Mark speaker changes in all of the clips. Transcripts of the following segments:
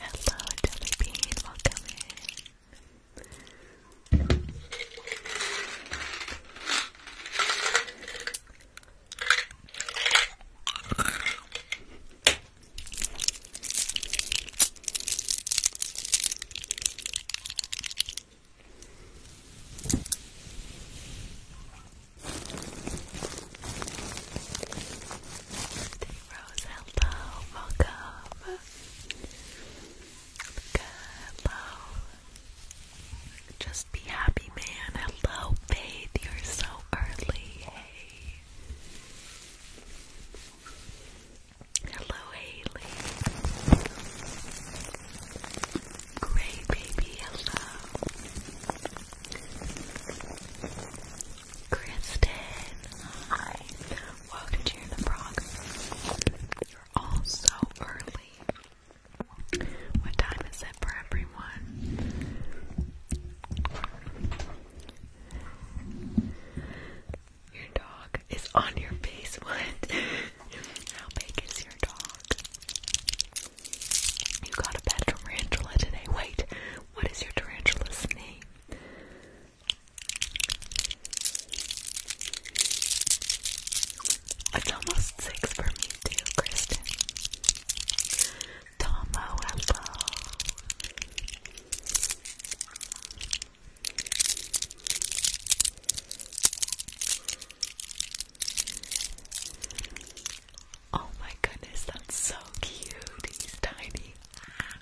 Speaker 1: Hello, Jelly Bean, welcome in. Rose, welcome. Hello. Just be happy, man. Hello, Faith. You're so early. Hey. Hello, Haley. Great, baby. Hello. Kristen, hi. Welcome to the Frog. You're all so early. What time is it for everyone? Your dog is on your face. What? How big is your dog? You got a pet tarantula today. Wait, what is your tarantula's name? It's almost six for me too, Kristen. Tomo, hello. Oh my goodness, that's so cute. He's tiny.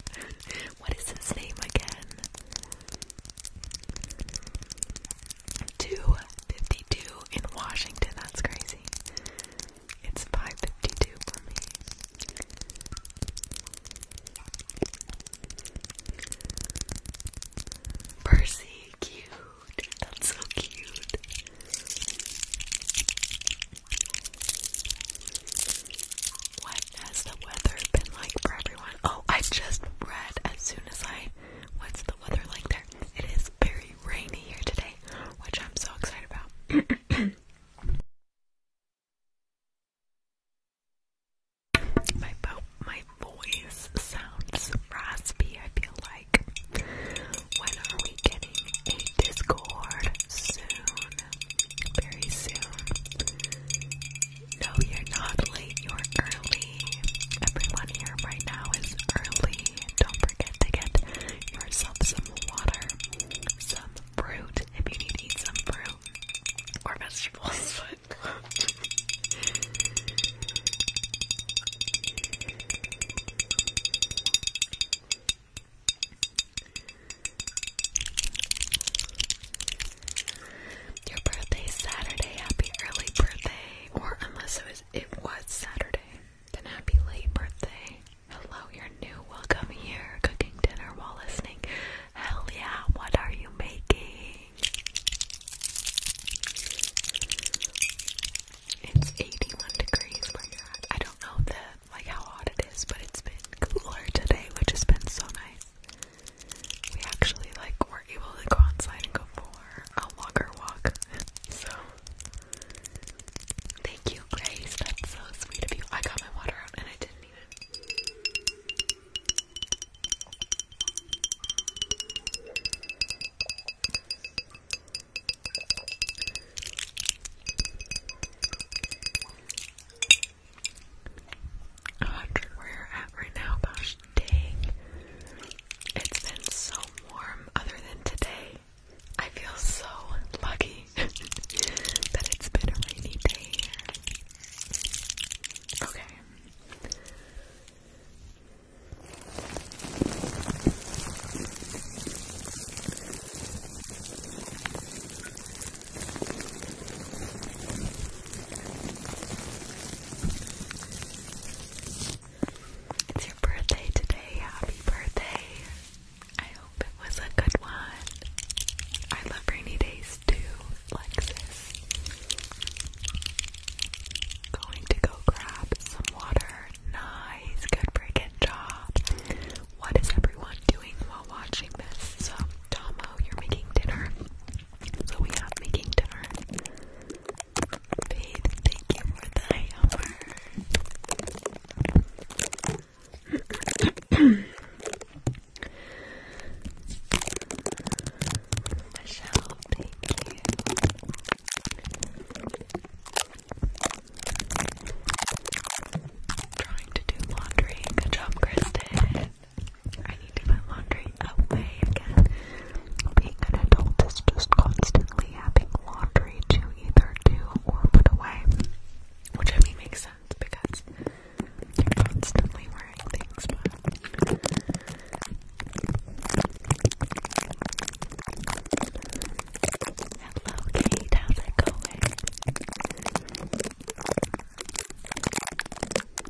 Speaker 1: what is his name again? 252 in Washington. That's crazy. It's 552 for me. Percy, cute. That's so cute. What has the weather been like for everyone? Oh, I just read as soon as I. What's the weather like there? It is very rainy here today, which I'm so excited about. my voice sounds raspy, I feel like. When are we getting a Discord soon. Very soon. No, you're not late, you're early. Everyone here right now is early. Don't forget to get yourself some water, some fruit if you need to eat some fruit or vegetables. Your birthday is Saturday. Happy early birthday. Or unless it was it was Saturday. Then happy late birthday. Hello, you new. Welcome here. Cooking dinner while listening. Hell yeah, what are you making? It's 81 degrees, my god. I don't know the like how hot it is, but it's been cooler today, which has been so nice. We actually like were able to go outside and go for a longer walk. so thank you, Grace. That's so sweet of you. I got my water out and I didn't even hundred where you at right now, gosh dang. It's been so warm other than today. I feel so lucky that it's been a rainy day Okay. It's your birthday today. Happy birthday. I hope it was a good one. I love rainy days too, Lexus. Going to go grab some water. Nice, good freaking job what is everyone doing while watching this? So, Tomo, you're making dinner. So we have making dinner. Trying to do laundry. Good job, Kristen. I need to put laundry away again. Being an adult is just constantly having laundry to either do or put away. Which I mean makes sense because you're constantly wearing things, Hello, Kate. How's it going?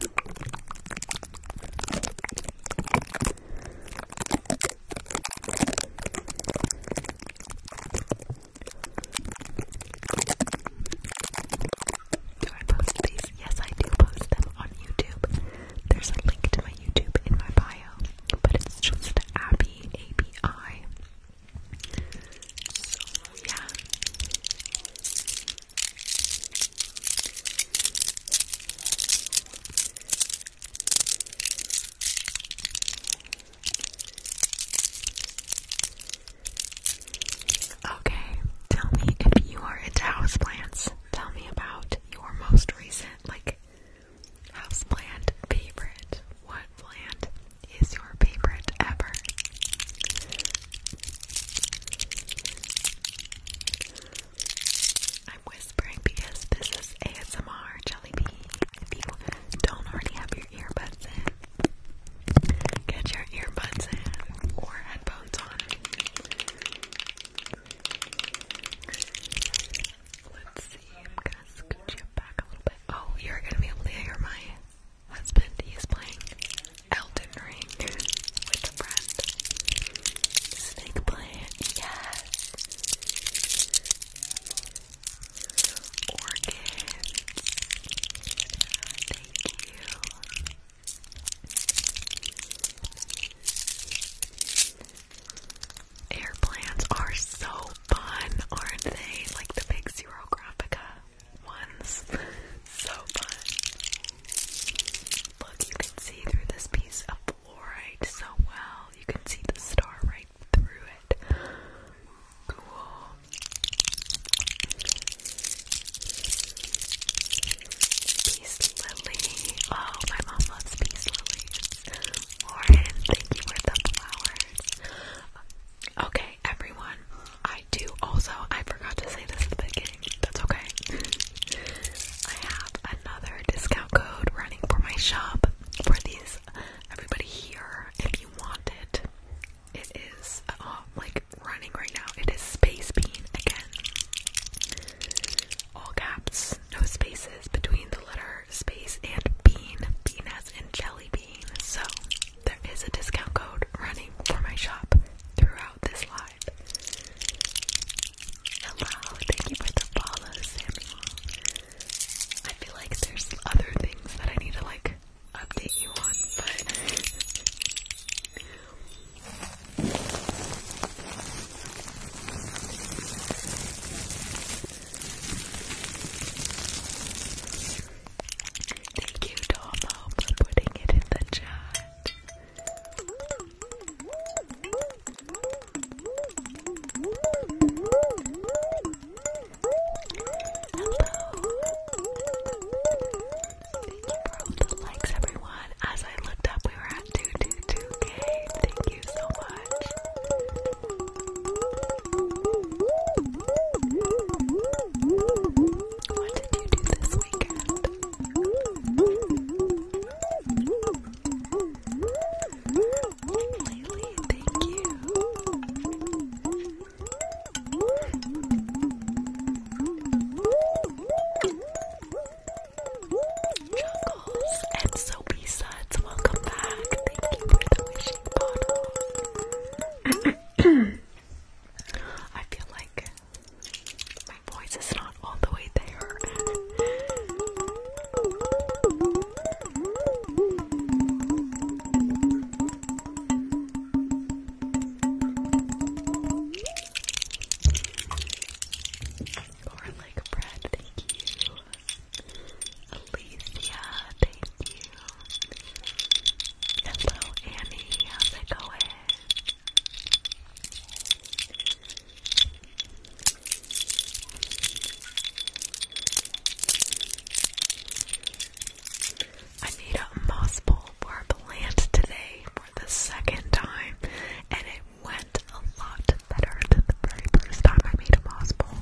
Speaker 1: Do I post these? Yes, I do post them on YouTube. There's a link to my YouTube in my bio, but it's just Abby ABI. So yeah. Okay, tell me if you are into houseplants. Tell me about your most recent, like House plant favorite. What plant is your favorite ever? I'm whispering because this is ASMR Jelly Bean. If you don't already have your earbuds in, get your earbuds in or headphones on. Let's see. Oh, you're gonna be able to hear my husband. He's playing Elden Ring with a friend. Snake plant, yes. Orchids. Thank you. Air plants are so fun, aren't they? Like the big Zero Graphica ones. so fun. Look, you can see through this piece of fluorite so well. You can see the star right through it. Cool. Peace Oh, my mom loves Peace Lily. Lauren, thank you for the flowers. Okay, everyone. I do also, I forgot to say this at the beginning. That's okay. I have another discount code running for my shop for these. Everybody here, if you want it, it is uh, like running right now. It is Space Bean again. All caps, no spaces between the letter space and bean. Bean as in jelly bean. So there is a discount code running for my shop throughout this live. Hello, thank you for the follow, Samuel. I feel like there's other things that I need to like update you on, but Thank you, Tomo, for putting it in the chat. Hello. Thank you for all the likes, everyone. As I looked up, we were at 222k. Thank you so much thank you. Chuckles and Soapy welcome back. Thank you for the wishing bottle. I feel like my voice is not all the way there. Or like Brad, thank you. Alicia, thank you. Hello, Annie. How's it going? I made a moss bowl for a plant today for the second time, and it went a lot better than the very first time I made a moss bowl.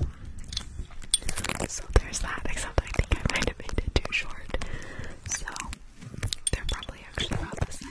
Speaker 1: So there's that, except I think I might have made it too short. So they're probably actually about the same.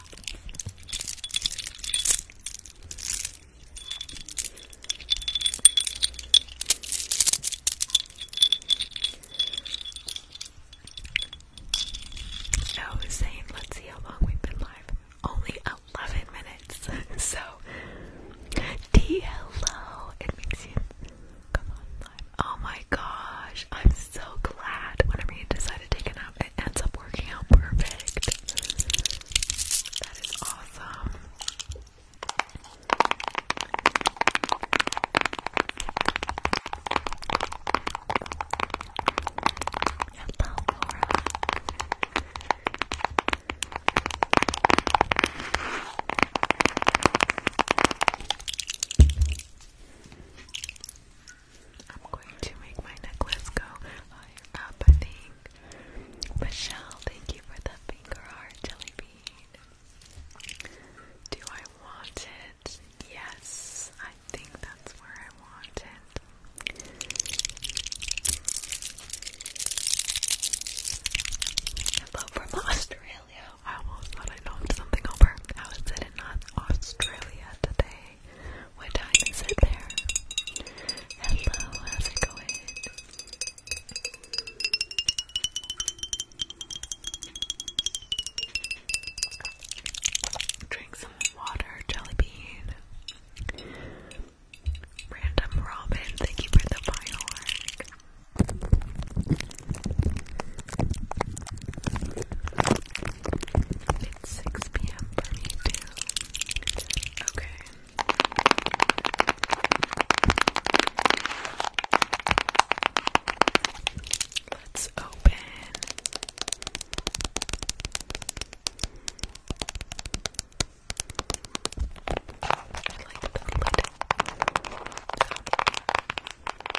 Speaker 1: I oh, was let's see how long we've been live. Only 11 minutes. so, D It makes you come on live. Oh my gosh, I'm so glad whenever you decided to take a nap, it ends up working out perfect. That is awesome. I'm going to make my necklace go higher up, I think. Michelle, thank you for the finger heart jelly bean. Do I want it? Yes, I think that's where I want it. Hello from Australia. I almost thought I knocked something over. How is it in Australia today? What time is it there? Hello, how's it going? Drink some water, jelly bean. Random Robin, thank you for the firework. 6 p.m. for me too. Okay. Let's open. like the lid.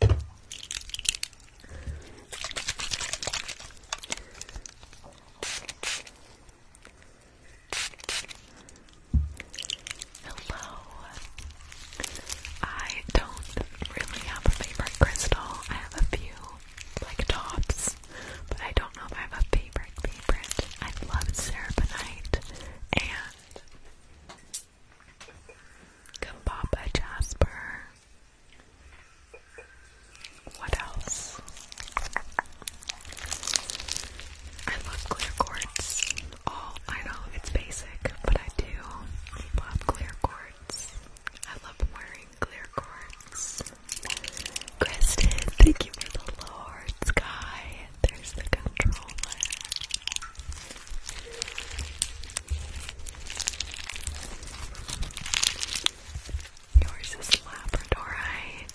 Speaker 1: Hello. I don't really have a favorite crystal. I have a few, like tops, but I don't know if I have a favorite favorite. I love serapinite and Come Jasper. What else? I love clear quartz. All oh, I know it's basic, but I do love clear quartz. I love wearing clear quartz. Kristen, thank you for the Lord Sky. There's the controller. Yours is Labradorite.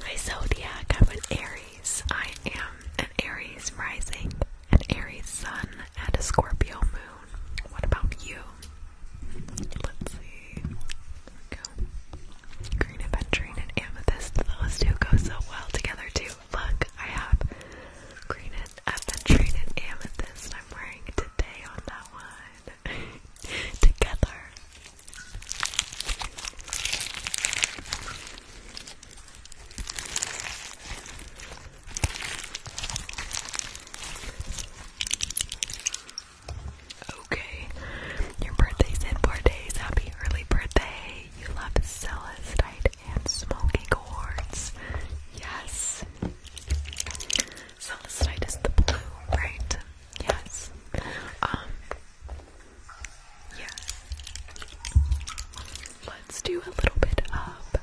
Speaker 1: My zodiac, I'm an Aries. I am an Aries rising, an Aries sun, and a Scorpio moon. What about you? Let's see. Green aventurine and amethyst. Those two go so well together too. Look, I have green aventurine and amethyst. I'm wearing today on that one. together. Okay, your birthday's in four days. Happy early birthday. You love celestite and smoky quartz. Yes. Celestite is the blue, right? Yes. Um, Yes. Let's do a little bit of.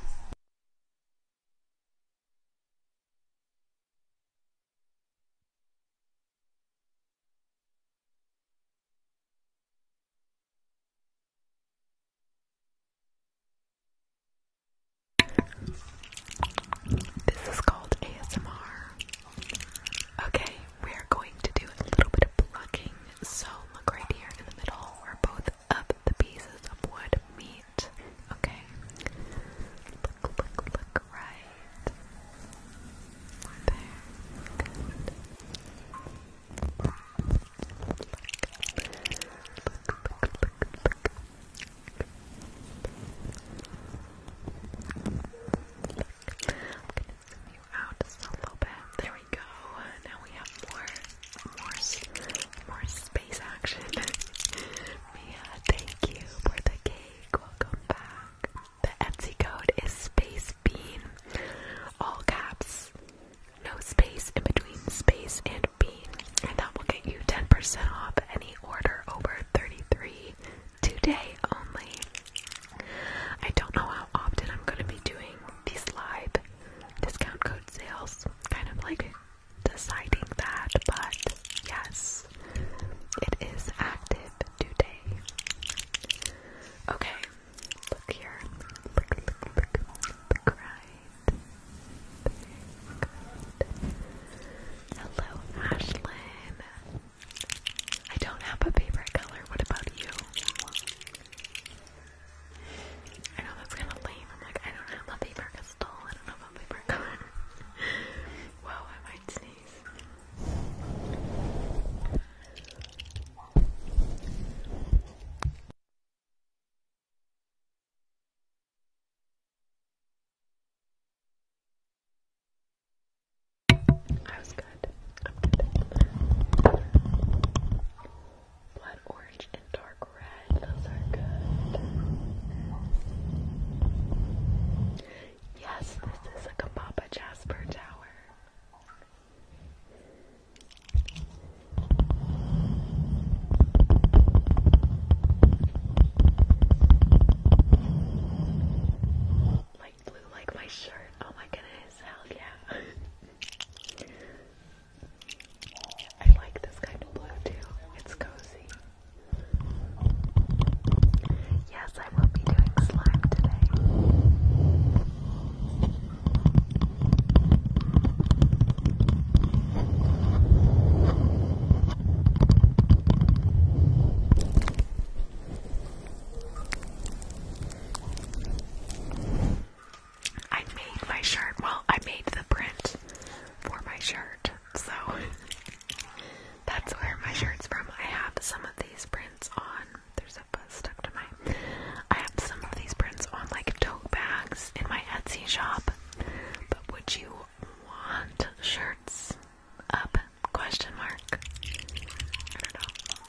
Speaker 1: This is called ASMR. Okay, we're going to do a little bit of plucking. So look right here in the middle where both of the pieces of wood meet. Okay. Look, look, look right. There. Good. Look, look, look, look out a little bit. There we go. Now we have more, more, more space action. Mia, thank you for the cake. Welcome back. The Etsy code is space bean, all caps, no space in between space and bean, and that will get you 10% off any order over 33 today only. I don't know how often I'm going to be doing these live discount code sales, kind of like deciding that, but yes, it is active today. Okay, look here. Look, look, look, look, right. Hello, Ashlyn. I don't have a favorite color. What about you? I know that's kind of lame. I'm like, I don't have a favorite crystal. I don't have a favorite color. Whoa, I might sneeze. Blood orange and dark red. Those are good. Yes, this is a Kababa Jasper Tower blue like my shirt. Oh my goodness, hell yeah. I like this kind of blue too. It's cozy. Yes, I will be doing slime today. I made my shirt. Well, I made the print for my shirt, so that's where my shirt's from. I have some of these prints on. There's a buzz stuck to my. I have some of these prints on like tote bags in my Etsy shop. But would you want shirts up Question mark. I don't know.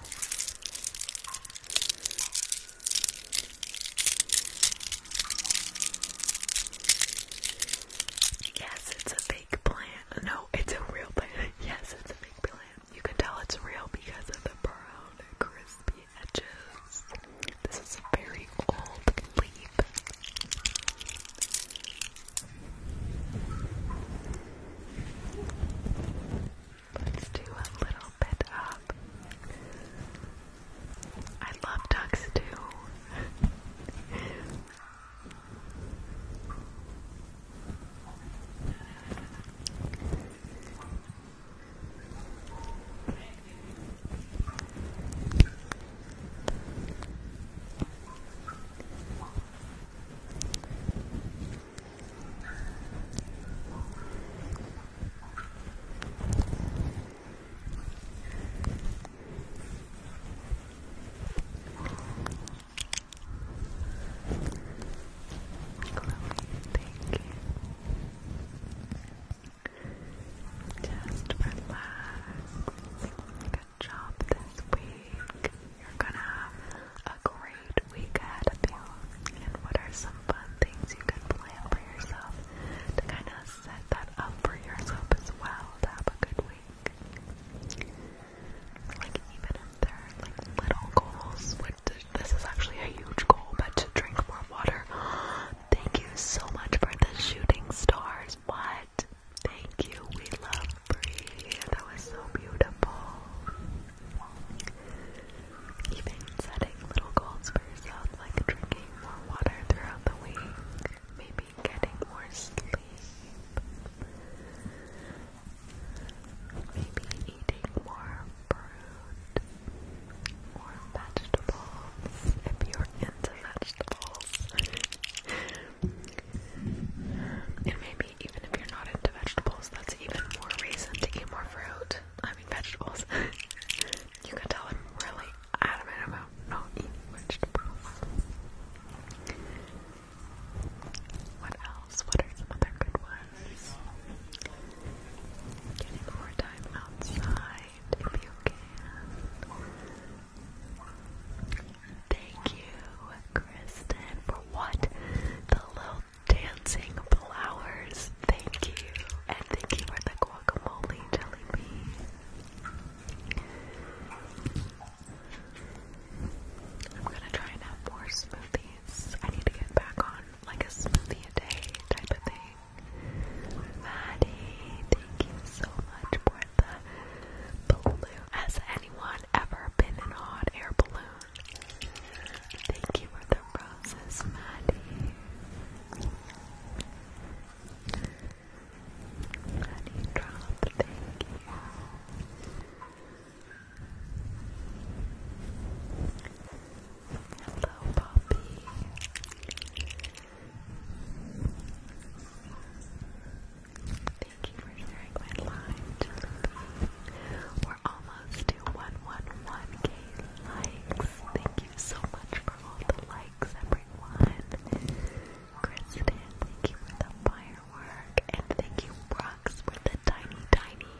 Speaker 1: Yes, it's a fake plant. No, it's a real plant. Yes, it's a fake plant. You can tell it's real because of the brown, crispy edges. This is a very old leaf. Let's do a little bit up. I love ducks too thank you. Just relax. Good job this week. You're gonna have a great great week ahead of you, and what are some fun things you can plan for yourself to kind of set that up for yourself as well to have a good week. Like even if they're like little goals, which this is actually a huge goal, but to drink more water. Thank you so much for the shooting stars. What? Thank you. We love free. That was so beautiful. Even setting little goals for yourself, like drinking more water throughout the week, maybe getting more sleep, maybe eating more fruit or vegetables if you're into vegetables. and maybe even if you're not into vegetables, that's even more reason to eat more fruit. I mean, vegetables. you can tell I'm really adamant about not eating vegetables. What else? What are some other good ones? Getting more time outside if you can. Thank you, Kristen, for what? The little dancing flowers. Thank you. And thank you for the guacamole jelly bean. I'm gonna try and have more smoothies. I need to get back on like a smoothie a day type of thing. Maddie, thank you so much for the blue. anyone ever been in a hot air balloon? Thank you for the roses, Maddie. Honey thank you. Hello, Poppy. Thank you for sharing my live. We're almost to 111 likes. Thank you so much for all the likes, everyone. Kristen, thank you for the firework. And thank you, Brooks, for the tiny, tiny.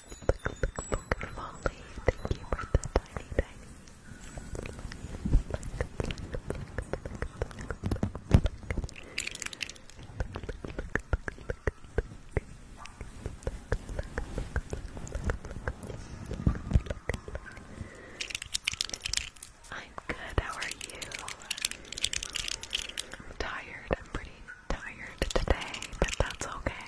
Speaker 1: Molly, thank you for the tiny, tiny. I'm good, how are you? I'm tired, I'm pretty tired today, but that's okay.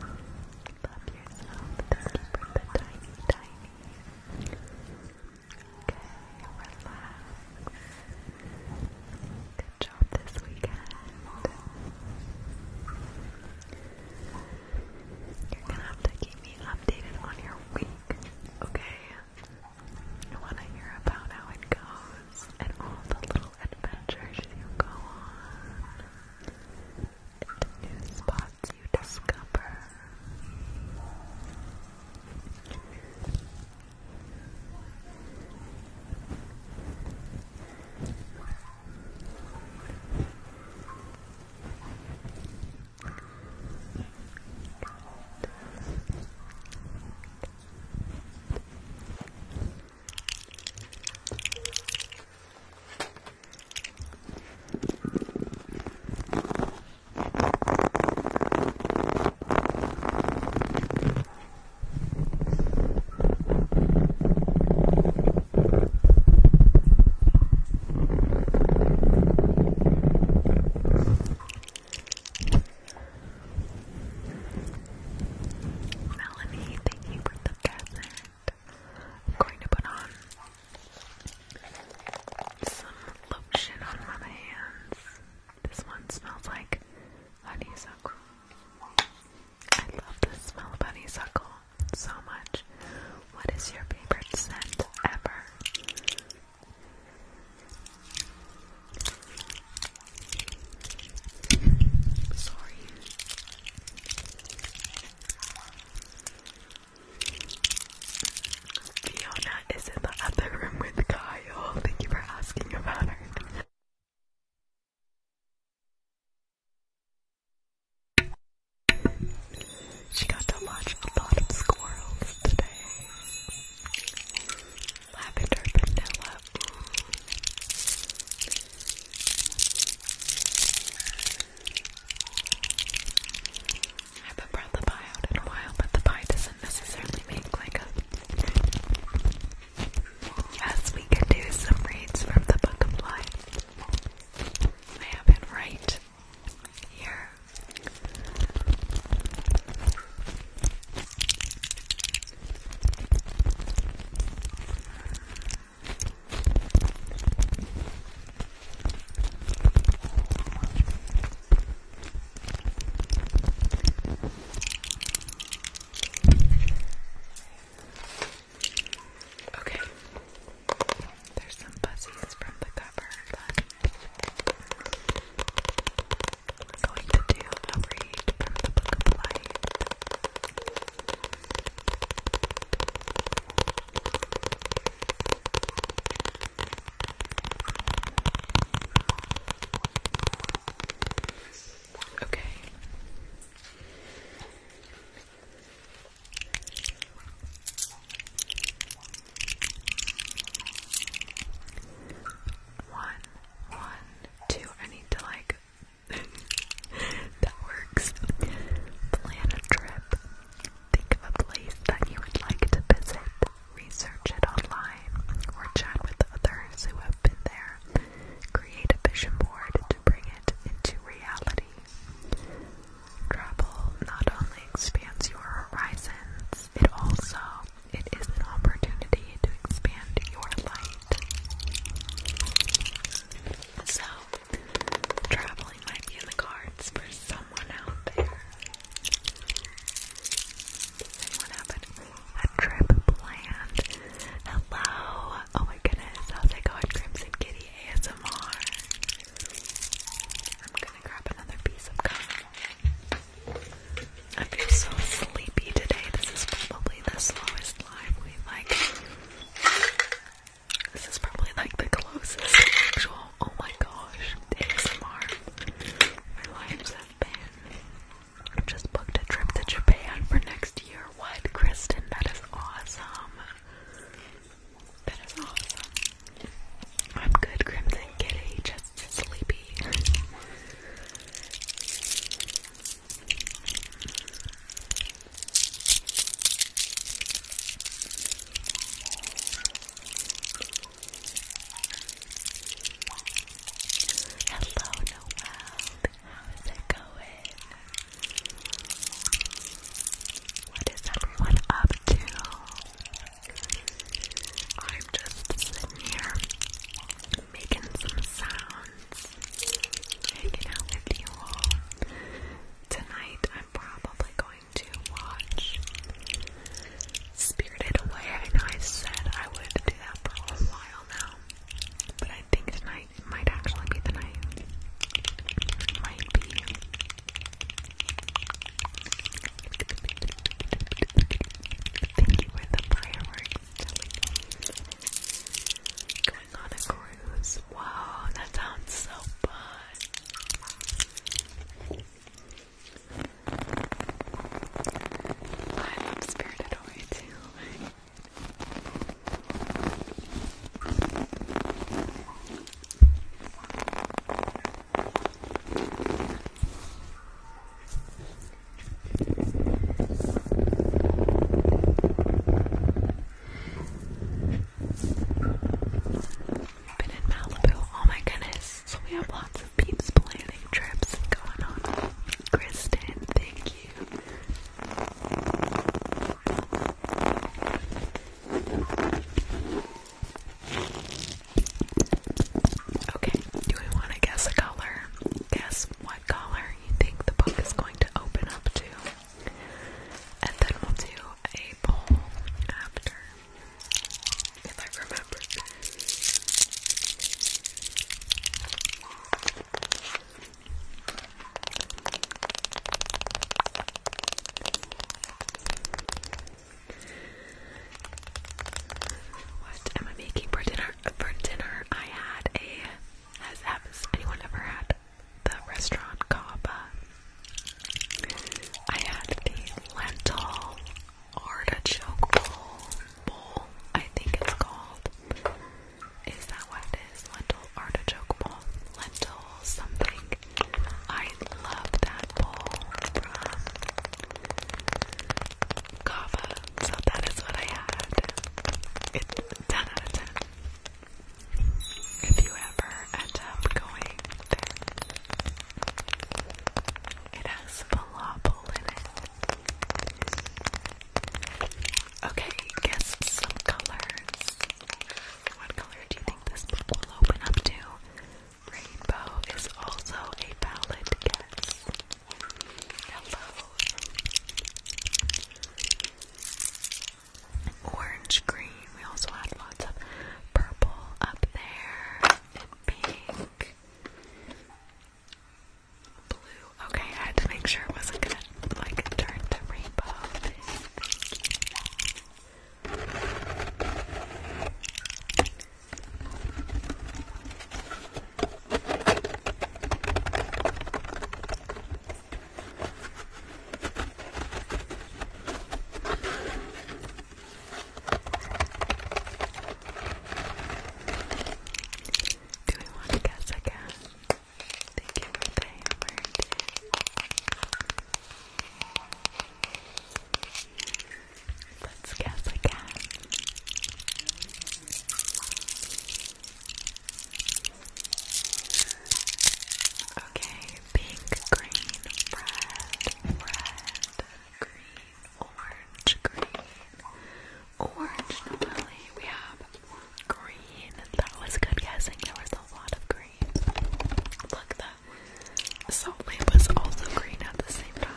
Speaker 1: Love yourself. Thank you for tiny, tiny. Okay, relax. Good job this weekend. You're gonna have to keep me updated on your week, okay? I wanna hear about how it goes and all the little adventures you go on new spots you discover. Melanie, thank you for the present. I'm going to put on some lotion on my hands. This one smells like honeysuckle. I love the smell of honeysuckle so much. What is your favorite scent ever? Sorry. Fiona is in the other room with Kyle. Thank you for asking about her. She got to watch a lot of squirrels today. Lavender vanilla. I haven't brought the pie out in a while, but the pie doesn't necessarily make like a. Yes, we can do some reads from the Book of Life. I have it right here. Okay, there's some fuzzies from the cover, but we're going to do a read from the Book of Light. Okay. One, one, two. I need to like. that works. Plan a trip Think of a place that you would like to visit, research it online, or chat with others who have been there. Create a vision board to bring it into reality. Travel not only expands your horizons, it also it is an opportunity to expand your light. So, traveling might be in the cards for someone out there. anyone have a, trip planned? Hello! Oh my goodness, how's it going, Crimson Kitty ASMR? I'm gonna grab another piece of gum. I feel so sleepy today. This is probably the slowest live we've like this is probably like the closest actual, oh my gosh, ASMR my lives have been. Just booked a trip to Japan for next year. What, Kristen? That is awesome. That is awesome. I'm good, Crimson Kitty, just sleepy. Hello, Noel. How's it going? What is everyone up to? I'm just sitting here making some sounds, hanging out with you all. Tonight, I'm probably going to watch Spirited Away. and I said I would do that for a while now, but I think tonight might actually be the night. might be. Thank you the fireworks. Going on a cruise. Wow, that sounds so fun. I love Spirited Away too been in Malibu. Oh my goodness. So we have lots of people planning trips going on. Kristen, thank you. Okay, do we want to guess a color? Guess what color you think the book is going to open up to? And then we'll do a bowl after, if I remember. What am I making for dinner? For dinner, I had a. has anyone ever had the restaurant Kaba, I had the lentil artichoke bowl. I think it's called. Is that what it is? Lentil artichoke bowl, lentil something. I love that bowl Kava. So that is what I had. It's 10 out of 10 if you ever end up going there. It has falafel in it. Okay, guess some colors. What color do you think this book will open up to? Rainbow is also a valid guess. Hello orange green. We also had lots of purple up there and pink. Blue. Okay, I had to make sure it wasn't gonna like turn to rainbow. Do we want to guess again? Thank you for the hammer. Let's guess again. Okay, pink, green, red, red, green, orange, green, orange. Normally we have green. That was good guessing. There was a lot of green. Look, the salt was also green at the same time.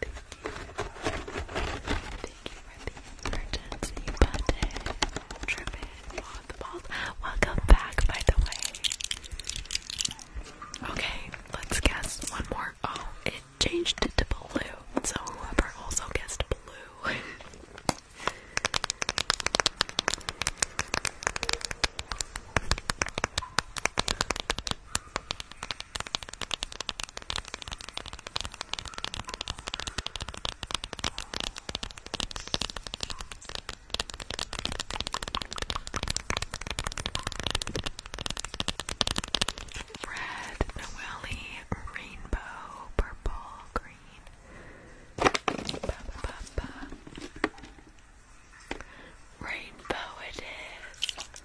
Speaker 1: Thank you for the emergency button. Trip it, the balls. Welcome back, by the way. Okay, let's guess one more. Oh, it changed it to blue. So whoever also guessed blue. Red, Noelli, Rainbow, Purple, Green. Ba, ba, ba, ba. Rainbow it is.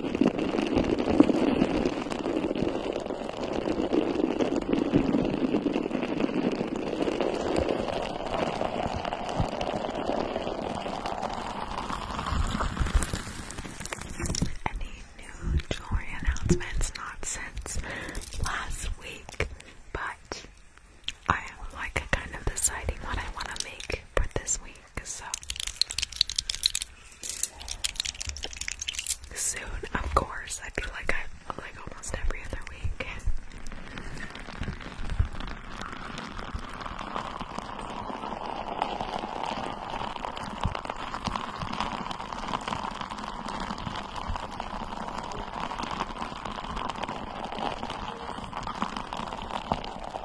Speaker 1: Any new jewelry announcements? Not since last week, but I am like kind of deciding what I want to make for this week so soon, of course. I feel like I like almost every other week.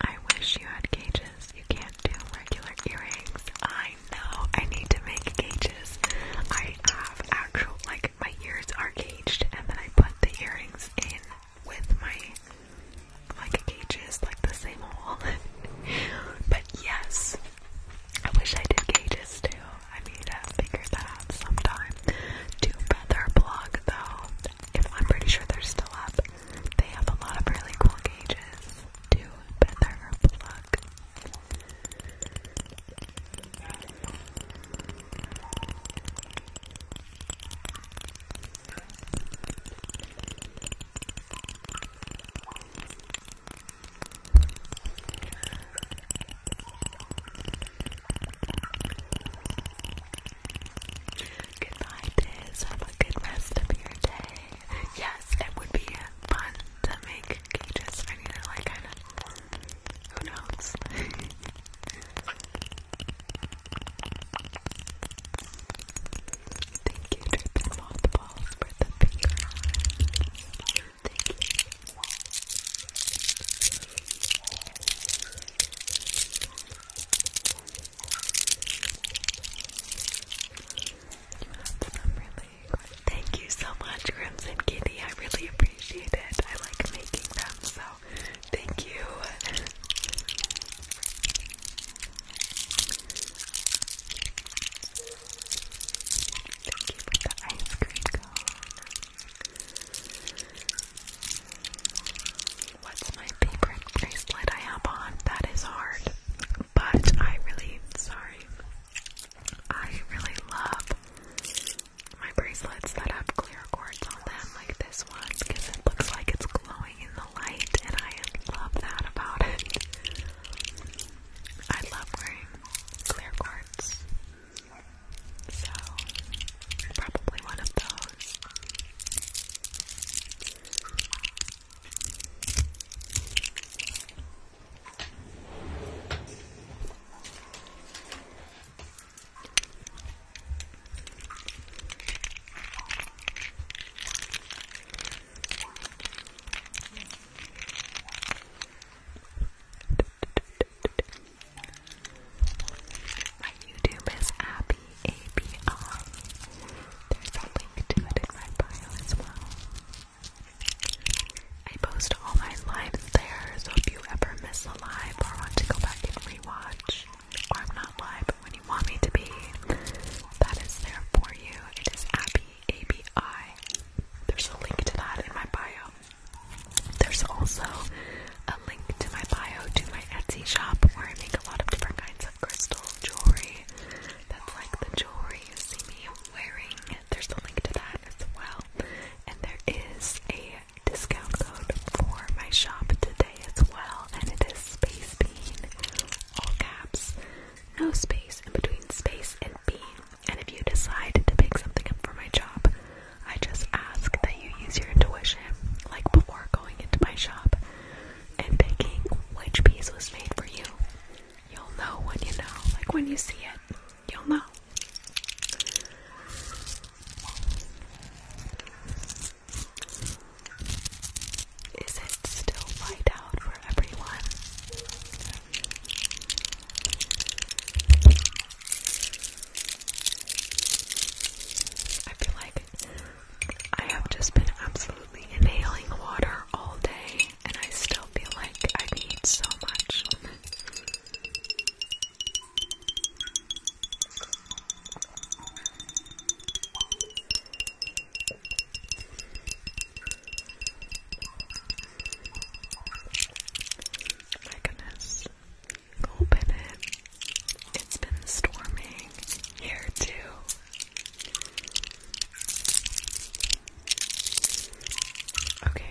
Speaker 1: I wish you had cages. You can't do regular earrings. I know. I need to make cages. I have actual, like, my ears are caged, and then I put the earrings in with my, like, cages, like the same hole. but yes, I wish I did cages too. I need to figure that out sometime. Do their blog though, I'm pretty sure they're still up. They have a lot of really cool gauges. Do better plug. Good night, Have a good rest of your day. Yes, it would be fun to make cages for you to like kind of. Who knows? Thank you, Drippin' Mothballs, for the pink Thank you. Thank you so much, Crimson Kitty. I really appreciate it. I like making them, so thank you. Thank you for the ice cream cone. What's my favorite bracelet I have on? That is hard. But I really, sorry, I really love my bracelets that have clear cords on them, like this one, because it looks like it's glowing in the light, and I love that about it. I love wearing clear cords. So, probably one of those. My YouTube is Abby ABI. There's a link to it in my bio as well. I post all my lives there, so if you ever miss a live or want to go back and rewatch, or I'm not live, but when you want me to be, that is there for you. It is Abby ABI. There's a link to that in my bio. There's also a link to my bio to my Etsy shop where I make a lot of different kinds of crystal jewelry. That's like the jewelry you see me wearing. There's a link to that as well. And there is a discount code for my shop today as well. And it is Space Bean. All caps. No space in between space and bean. And if you decide to pick something up for my job, I just ask that you use your intuition, like before going into my shop and picking which piece was made for you. You'll know when you know, like when you see it, you'll know. Is it still light out for everyone? I feel like I have just been absolutely inhaling water all day, and I still feel like I need so much. My goodness. Open it. It's been storming here too. Okay.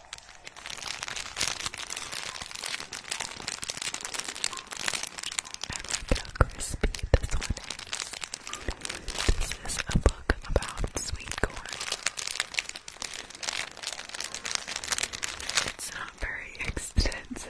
Speaker 1: I love crispy this one This is a book about sweet corn. It's not very extensive.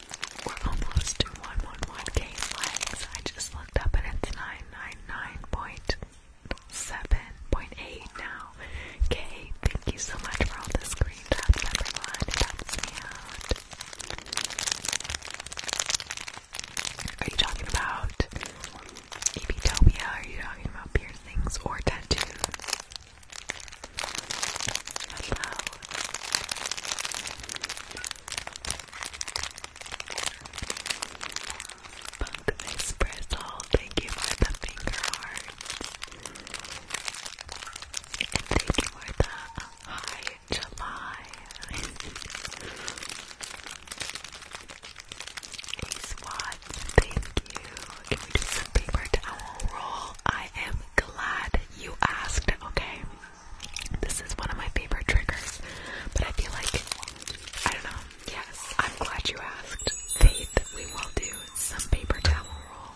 Speaker 1: We're almost to 111k I just looked up and it's 999.7.8 now. Kay, thank you so much for all the screen taps, everyone. It me out. Are you talking about Epitopia? Are you talking about piercings or tattoos? Hello thank you for the finger heart. thank you for the hi July. Ace Watts, thank you. Can we do some paper towel roll? I am glad you asked, okay? This is one of my favorite triggers, but I feel like, I don't know, yes, I'm glad you asked. Faith, we will do some paper towel roll.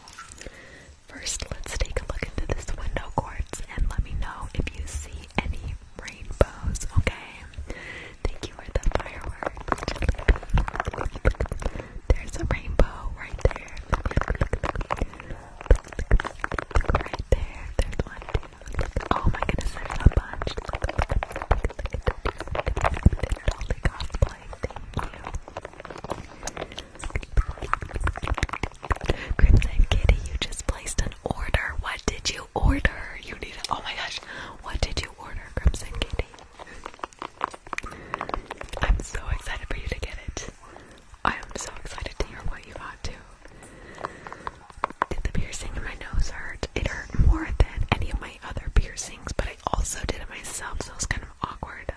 Speaker 1: First, let's take a look into this window court and let me know if you see any rainbows, okay? Thank you for the fireworks. There's a rainbow right there. Look right there. There's one, two. Oh my goodness, there's a bunch. Look, look, look, look, look. Holy cosplay, thank you. Crimson Kitty, you just placed an order. What did you order? You need it. Oh my gosh. What did you order, Crimson Kitty? I'm so excited for you to get it. I am so excited to hear what you got to. Did the piercing in my nose hurt? It hurt more than any of my other piercings, but I also did it myself, so it kind of awkward.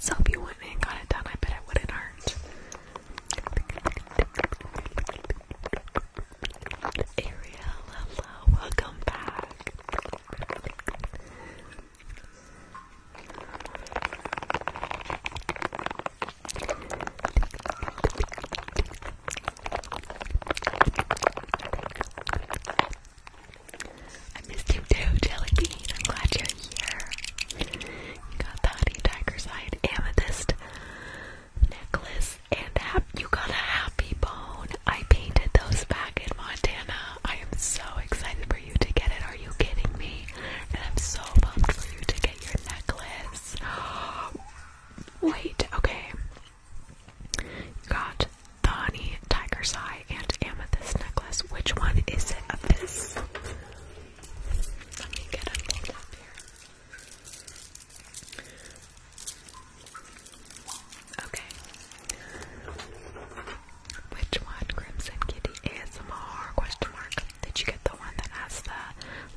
Speaker 1: So if you went and got it done, I bet it wouldn't hurt. Ariel, hello, welcome back. I missed you too, Jelly I'm glad you're here. You got the honey tiger's eye amethyst necklace and hap you got a happy bone. I painted those back in Montana. I am so excited for you to get it. Are you kidding me? And I'm so pumped for you to get your necklace. Wait, okay. You got the honey, tiger's eye, and amethyst necklace. Which one is it this? Let me get it pulled up here. Okay. Which one? Crimson Kitty ASMR question did you get the one that has the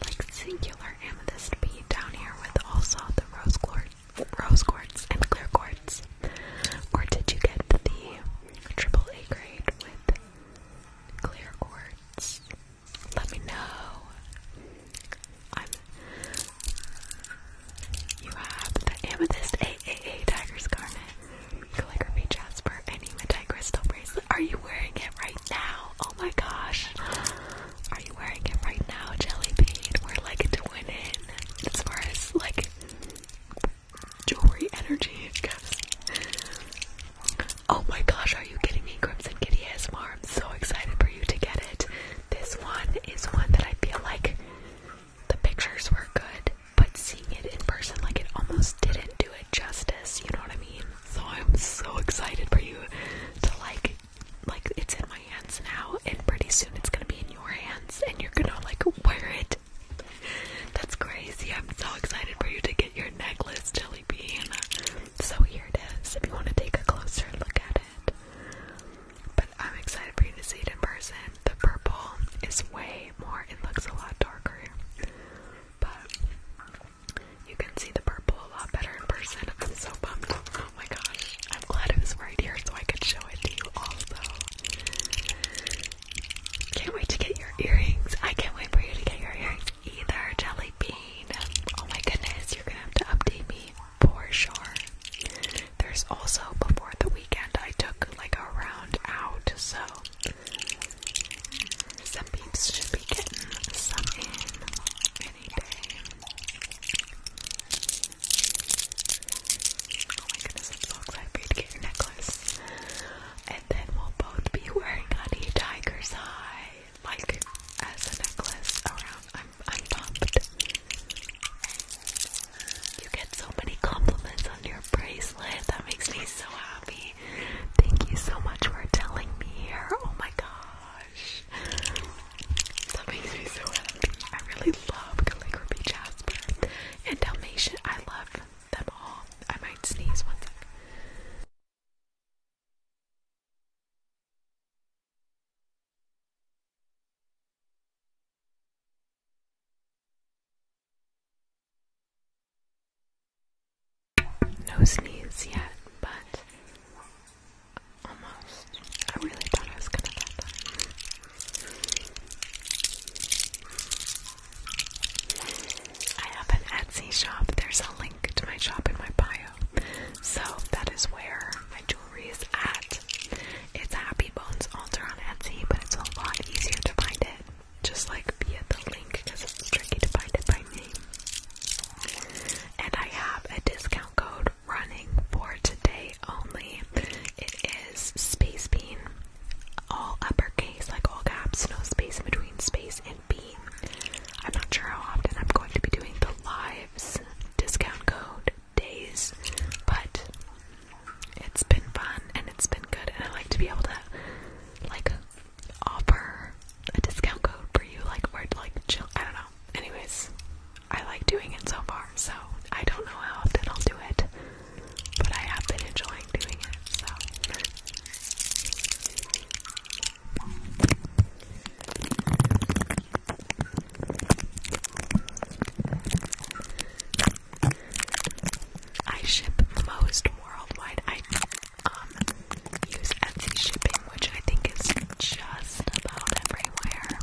Speaker 1: like singular amethyst bead down here with also the rose quartz, rose quartz and clear quartz? Or did you get the triple A grade with clear quartz? Let me know. I'm. You have the amethyst AAA Tiger's Garnet, calligraphy jasper, and hematite crystal bracelet. Are you wearing it right now? Oh my gosh. Are you wearing it right now, Jelly Bean? We're like twin it as far as like jewelry energy goes. Oh my gosh, are you kidding me? Crimson Kitty ASMR. I'm so excited for you to get it. This one is one that I feel like the pictures were good, but seeing it in person, like it almost didn't do it justice. You know what I mean? So I'm so excited for you to like like it's in my hands now and pretty soon it's gonna be in your hands and you're gonna like wear it. That's crazy. I'm so excited for you to get your necklace, Jelly Bean. So here it is if you want to take a closer look at it. But I'm excited for you to see it in person. The purple is way more, it looks a lot darker. But you can see the purple a lot better in person. I'm so bummed. Oh my gosh. I'm glad it was right here so I could show it to you also. Can't wait to get your earrings. I can't wait for you to get your earrings either, Jelly Bean. Oh my goodness, you're gonna have to update me for sure. There's also before the weekend I took like a round out, so some peeps should be getting some in any day. Oh my goodness, I'm so excited to get your necklace. And then we'll both be wearing Honey Tiger's high, like as a necklace around. I'm, I'm pumped. You get so many compliments on your bracelet. That makes me so happy. Thank you so much for telling me here. Oh my gosh. That makes me so happy. I really love calligraphy Jasper and Dalmatian. I love them all. I might sneeze one second. No sneeze yet, but almost. I really thought I was gonna get I have an Etsy shop. There's a link to my shop in my bio. So that is where my jewelry is at. It's Happy Bones Alter on Etsy, but it's a lot easier to find it just like via the link because it's tricky to find it by name. And I have a discount code running for today only. It is Space Bean, all uppercase, like all caps, no space in between space and bean. I'm not sure how often I'm going to be doing the lives discount code days, but it's been fun and it's been good, and I like to be able to like offer a discount code for you, like or like chill. I don't know. Anyways, I like doing it so far, so I don't know how often I'll do it, but I have been enjoying doing it. So. I ship the most worldwide. I um, use Etsy shipping, which I think is just about everywhere.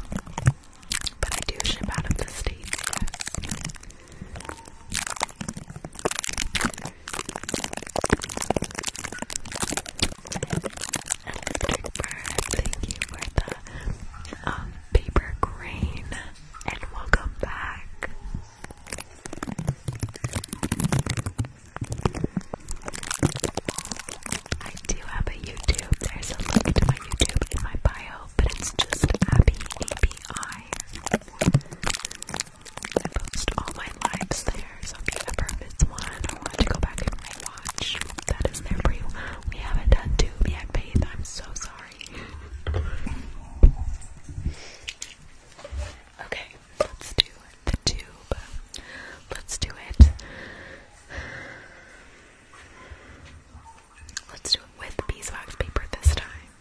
Speaker 1: But I do ship out of the States, Thank you for the um, paper crane, and welcome back. I do have a YouTube. There's a link to my YouTube in my bio, but it's just happy API. I post all my lives there, so if you ever miss one I want to go back and watch. that is there for you. We haven't done two yet, Faith. I'm so sorry. Okay. Let's do the tube. Let's do it. Let's do it with beeswax paper this time.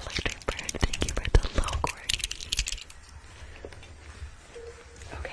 Speaker 1: Electric bird, thank you for the low cord. Okay.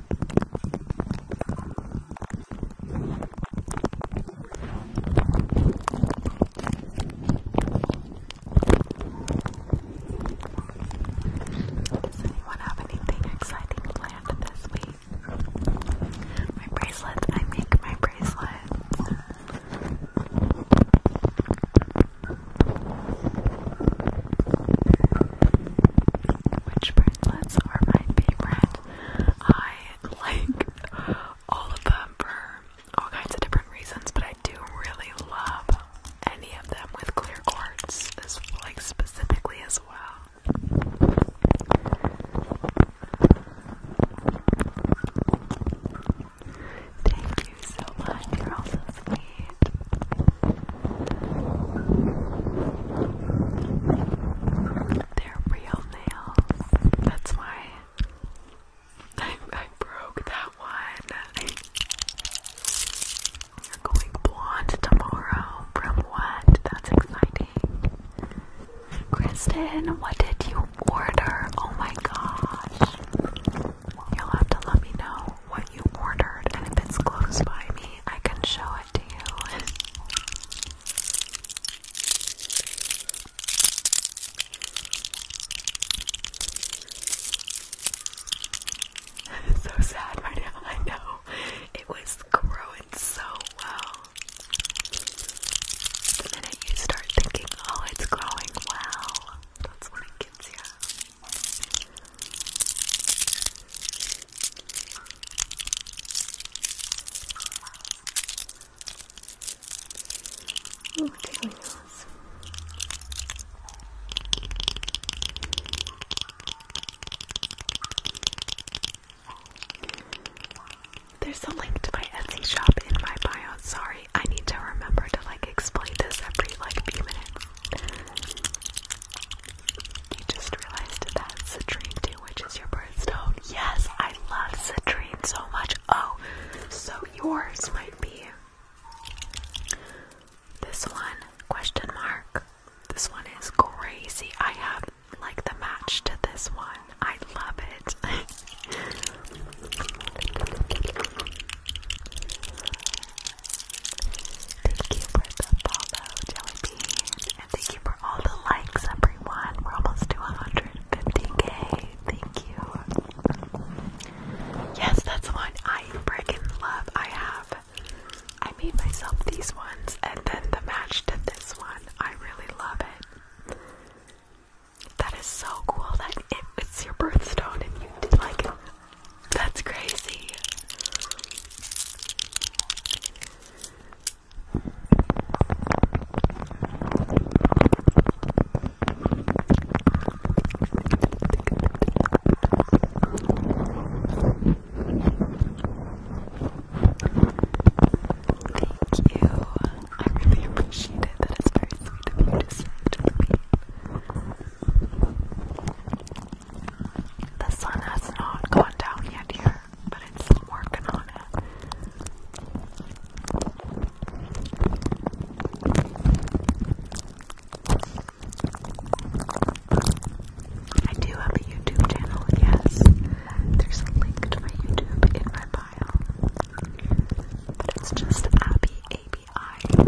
Speaker 1: Does anyone have anything exciting planned this week? My bracelet. I make my bracelet. Which bracelets are my favorite? I like all of them for all kinds of different reasons, but I do really love any of them with clear quartz, as like specifically as well. Thank you so much. You're all sweet. They're real nails. That's why I, I broke that one. You're going blonde tomorrow. From what? That's exciting. Kristen, what did you order? Oh my gosh. You'll have to let me know what you ordered, and if it's close by me, I can show it what so sad right now, I know. It was growing so well. The minute you start thinking, oh, it's growing well, that's when it gets you. Ooh, There's a link to my Etsy shop in my bio. Sorry, I need to remember to like explain this every like few minutes. You just realized that citrine too, which is your birthstone. Yes, I love citrine so much. Oh, so yours might be this one? Question mark. This one is crazy. I have like the match to this one. I love it. Thank you for the follow, Jellybean. And thank you for all the likes, everyone. We're almost to 150k. Thank you. Yes, that's one I freaking love. I have. I made myself these ones and then the match to this one. I really love it. That is so cool that it's your birthstone and you did like that's crazy. Thank you. I really appreciate it. That is very sweet of you to send to me. The sun has not gone down yet here, but it's working on it. I do have a YouTube channel, yes. There's a link to my YouTube in my bio. But it's just Abby ABI.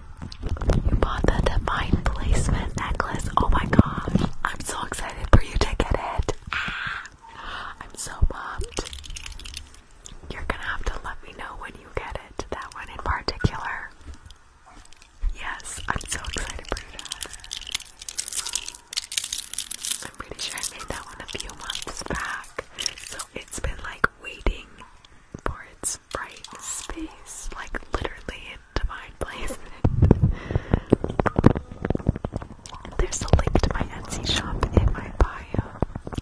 Speaker 1: You bought the Divine Placement necklace. Oh my gosh. I'm so excited for you to get it. Ah, I'm so pumped. You're gonna have to let me know when you get it, that one in particular. Yes, I'm so excited for you to have it. I'm pretty sure I made that one a few months back. So it's been like waiting for its this bright space, like literally a divine place. There's a link to my Etsy shop in my bio,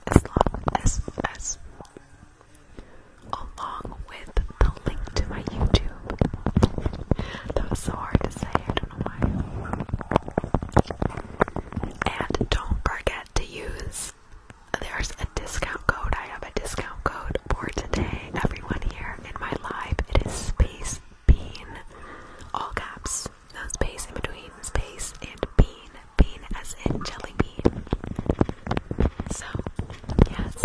Speaker 1: as long as as along with the link to my YouTube. that was so hard to say. I don't know why. And don't forget to use there's a discount code. I have a discount code for today. Everyone here in my live, it is space bean, all caps, no space in between, space and bean, bean as in jelly bean. So, yes.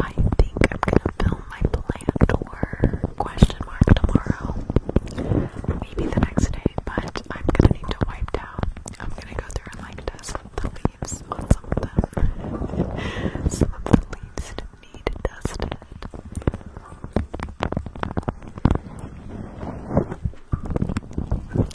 Speaker 1: I think I'm gonna film my plant or question mark tomorrow. Maybe the next day, but I'm gonna need to wipe down. I'm gonna go through and like dust the leaves on some of them. some of the leaves need dusted.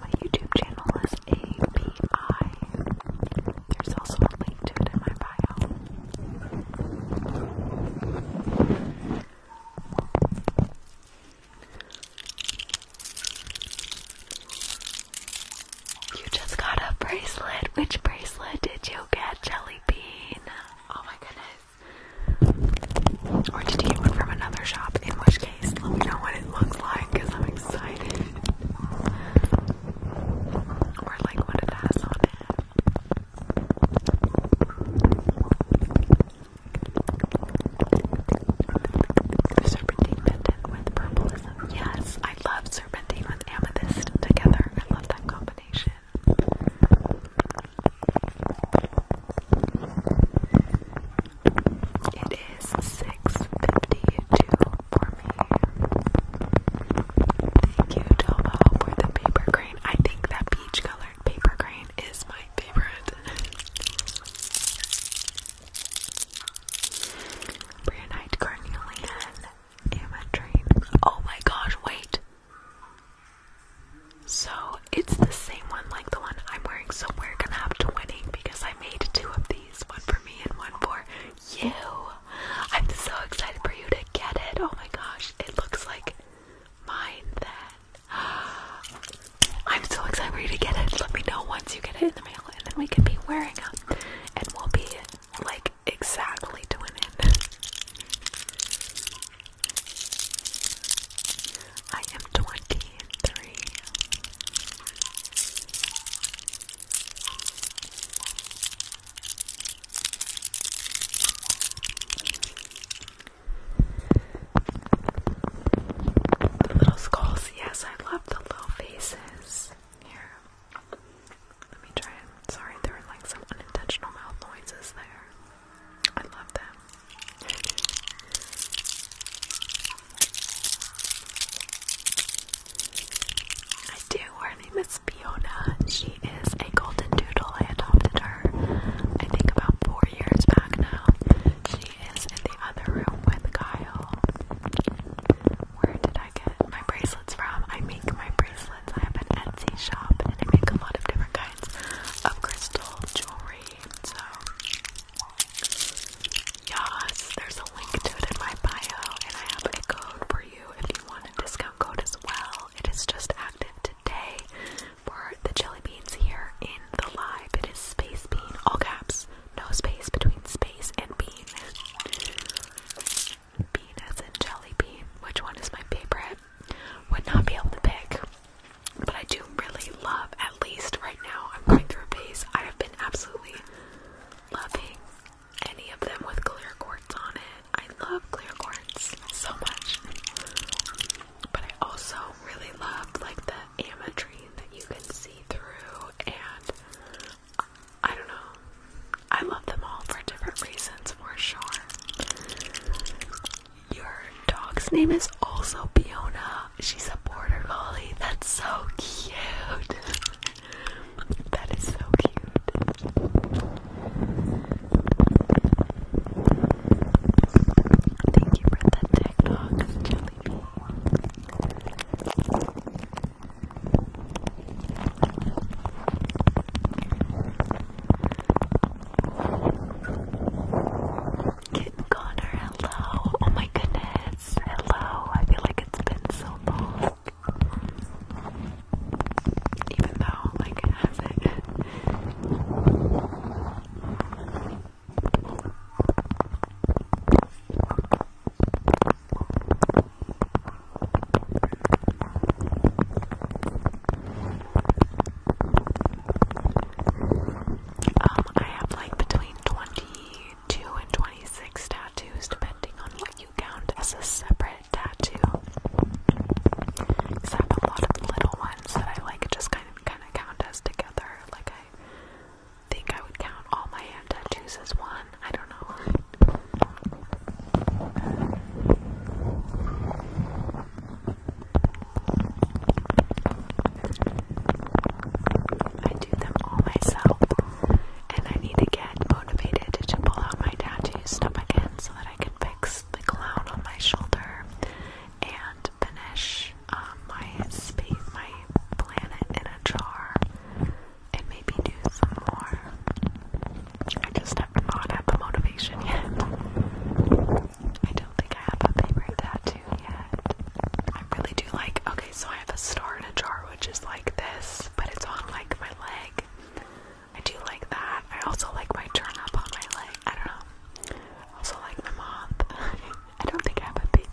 Speaker 1: My YouTube channel is A B I. There's also a link to it in my bio. You just got a bracelet. Which bracelet did you get, Jelly Bean? Oh my goodness. Or did you get one from another shop? In which case? let me know what it looks like because I'm excited. Or like what it has on it. Serpentine pendant with purpleism. Yes, I love serpentine with amethyst together. I love that combination. It is 6.52 for me. Thank you, Tobo, for the paper crane. I think that peach-colored paper crane is my favorite. Branite carnelian ametrine. Oh my gosh, wait. So, it's the same one like the one I'm wearing, so we're gonna have to winning because I made two of these one for me and one for you. I'm so excited for you to get it. Oh my gosh, it looks like mine then. I'm so excited for you to get it. Let me know once you get it in the mail, and then we can be wearing them and we'll be like exactly doing it. I am 23. The little skulls, yes, I love the little faces. Here, let me try Sorry, there were like some unintentional mouth noises there. I love them. I do. Her name is Fiona. She is a golden doodle. I adopted her, I think, about four years back now. She is in the other room with Kyle. Where did I get my bracelets from? I make my bracelets. I have an Etsy shop and I make a lot of different kinds of crystal jewelry. So Yes, there's a link to it in my bio, and I have a code for you if you want a discount code as well. It is just active today for the jelly beans here in the live. It is space bean, all caps, no space between space and bean. Bean as jelly bean. Which one is my favorite? Would not be able to pick. But I do really love, at least right now, I'm going through a phase I have been absolutely loving any of them with clear quartz on it. I love clear quartz so much. But I also really love like the ametrine that you can see through and I don't know. I love them all for different reasons for sure. Your dog's name is also Fiona. She's a border collie. That's so cute. That is so cute. Thank you for the TikTok, Jellybean. Kitten Connor, hello. Oh my goodness. Hello. I feel like it's been so long. Even though, like, Um, I have like between twenty 2 and 26 tattoos, depending on what you count as a separate tattoo. Because a lot of little ones that I like just kind of kind of count as together. Like I think I would count all my hand tattoos as one. I don't know. I do them all myself and I need to get motivated to pull out my tattoo stuff again so that I can fix the clown on my shoulder and finish um, my space, my planet in a jar, and maybe do some more. I just have not had the motivation yet. I don't think I have a favorite tattoo yet. I really do like. Okay, so I have a star in a jar, which is like this, but it's on like my leg. I do like that. I also like my turn up on my leg. I don't know. I also like my moth. I don't think I have a favorite.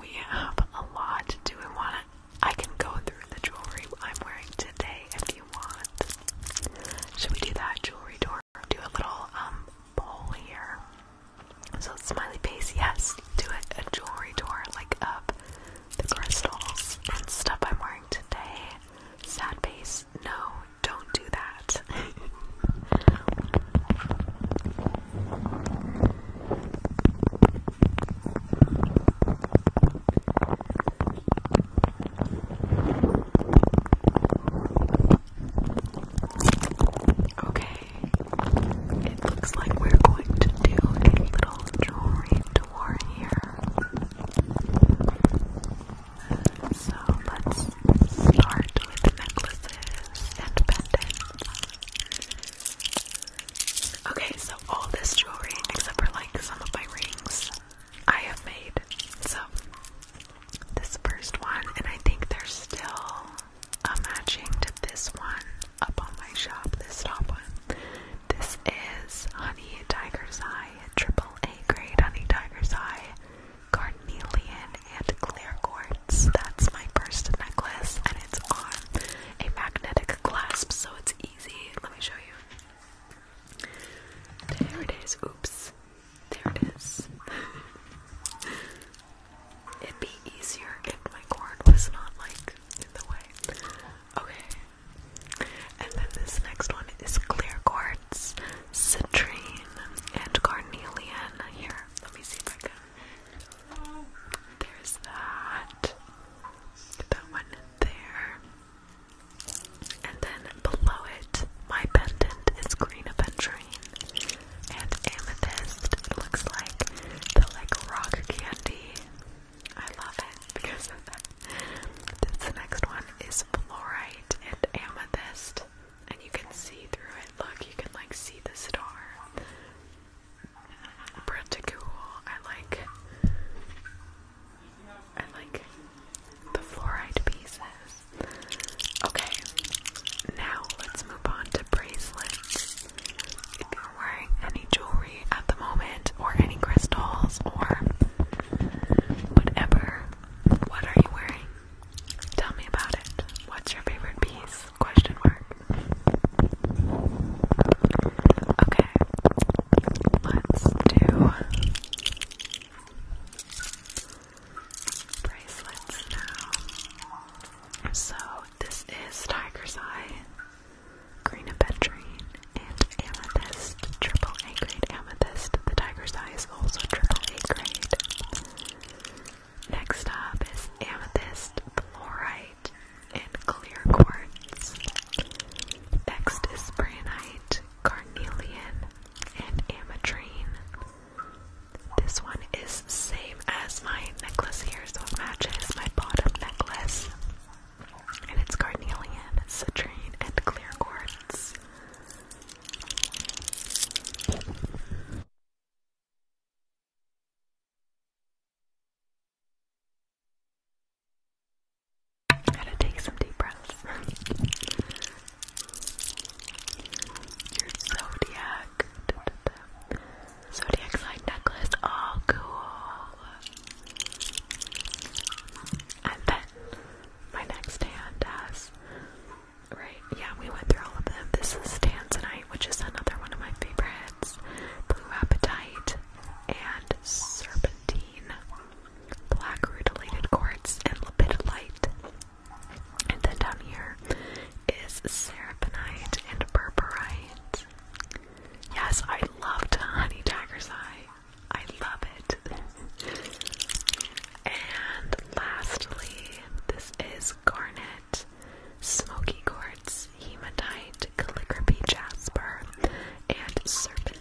Speaker 1: We have a lot. Do we want I can go through the jewelry I'm wearing today if you want. Should we do that jewelry door? Do a little um bowl here. So smiley face, yes. Do a, a jewelry door like up the crystals and stuff I'm wearing today. Sad face, no, don't do that. Okay, it looks like we're going to do a little jewelry tour here. So let's start with necklaces and pendants. Okay, so all this jewelry except for like some of my rings I have made. So, this first one, and I think there's still a matching to this one up on my shop, this top one. This is Honey Tiger's Eye, triple A grade Honey Tiger's Eye, carnelian, and clear cords. That's my first necklace, and it's on a magnetic clasp, so it's easy. Let me show you. There it is. Oops. There it is. It'd be easier if my corn was not like in the way. Okay. And then this next one is clear quartz, citrine, and carnelian. Here, let me see if I can. There's that. That one there. And then below it, my pendant is green aventurine and amethyst. It looks like the like rock candy. I love it because of the next one is fluorite and amethyst. And you can see through it. Look, you can like see the star. Pretty cool. I like and like the fluoride pieces. Okay, now let's move on to bracelets. If you're wearing any jewelry at the moment, or any crystals, or whatever, what are you wearing? Tell me about it. What's your favorite piece? Question mark. Okay, let's do bracelets now. So this is Tiger's Eye, Green Aventurine, and Amethyst, triple A grade Amethyst. The Tiger's Eye is also triple A grade. Next up is Amethyst, Fluorite, and Clear Quartz. Next is Branite, carnelian, and ametrine. This one is same as my necklace here, so it matches my bottom necklace. And it's carnelian, citrine, and clear quartz. Gotta take some deep breaths. Your zodiac. Zodiac sign necklace. Oh, cool. And then my next hand has. Right, yeah, we went through all of them. This is Tanzanite, which is another one of my favorites. Blue Appetite and Serpentine black rutilated quartz, and lepidolite. And then down here is serapinite and berberite. Yes, I love Honey Tiger's Eye. I love it. and lastly, this is garnet, smoky quartz, hematite, calligraphy jasper, and serpentine.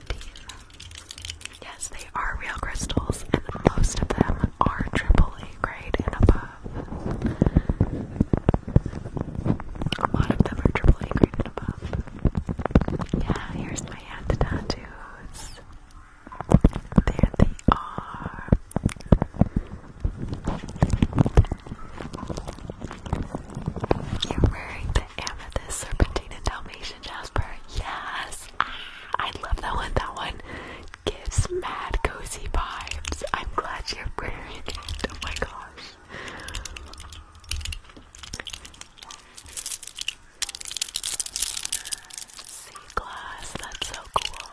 Speaker 1: Yes, they are real crystals, and most of them are AAA grade and above. A lot of them are AAA grade and above. Yeah, here's my hand tattoos. There they are. You're wearing the amethyst serpentine and Jasper. Yes. Ah, I love that one. That one gives mad cozy vibes. I'm glad you're wearing it. Oh my gosh. Sea glass. That's so cool.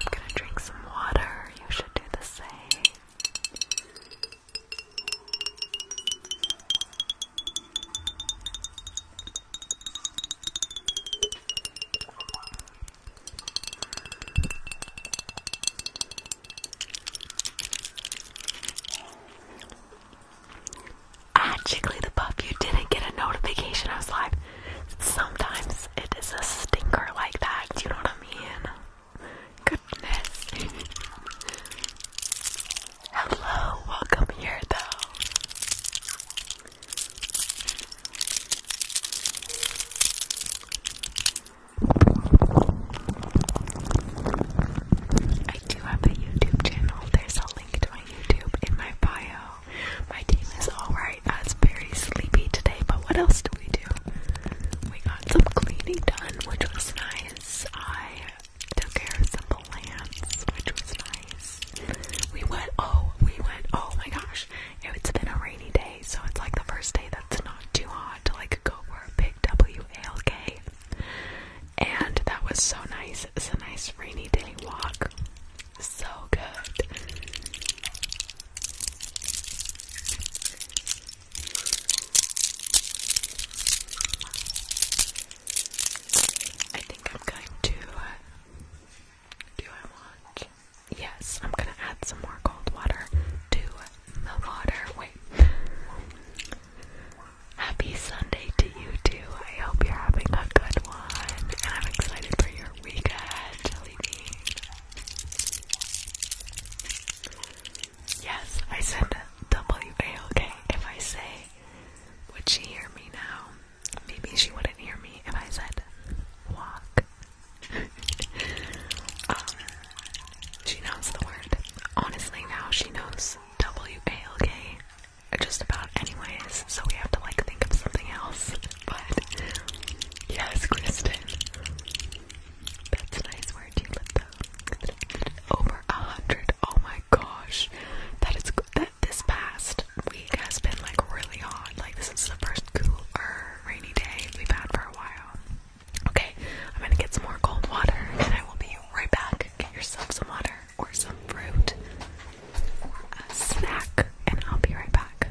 Speaker 1: I'm gonna drink some water. You should do the same. Ah, Jigglypuff, you didn't get a notification I was live. Sometimes it is a stinker like that, you know what I mean? Goodness. Hello, welcome here though. I do have a YouTube channel. There's a link to my YouTube in my bio. My team is alright. I was very sleepy today, but what else do we we got some cleaning done, which was nice. I took care of some plants, which was nice. We went, oh, we went, oh my gosh. It's been a rainy day, so it's like the first day that's not too hot to like go for a big WALK. And that was so nice. It's a nice rainy day walk. So good. I think I'm going to. Uh, do I want? Yes, I'm gonna add some more cold water to the water. Wait. Happy Sunday to you too. I hope you're having a good one. And I'm excited for your weekend, Jelly Bean. Yes, I said W-A-L-K. If I say, would she hear me now? Maybe she wouldn't hear me if I said walk. Um, she knows the word. Honestly, now she knows W-A-L-K just about anyways, so we have to like think of something else. But yes, Kristen. That's a nice word you let though. Over a hundred. Oh my gosh. That is that this past week has been like really hot. Like this is the first cooler rainy day we've had for a while. Okay, I'm gonna get some more cold water and I will be right back. Get yourself some water or some fruit a snack and I'll be right back.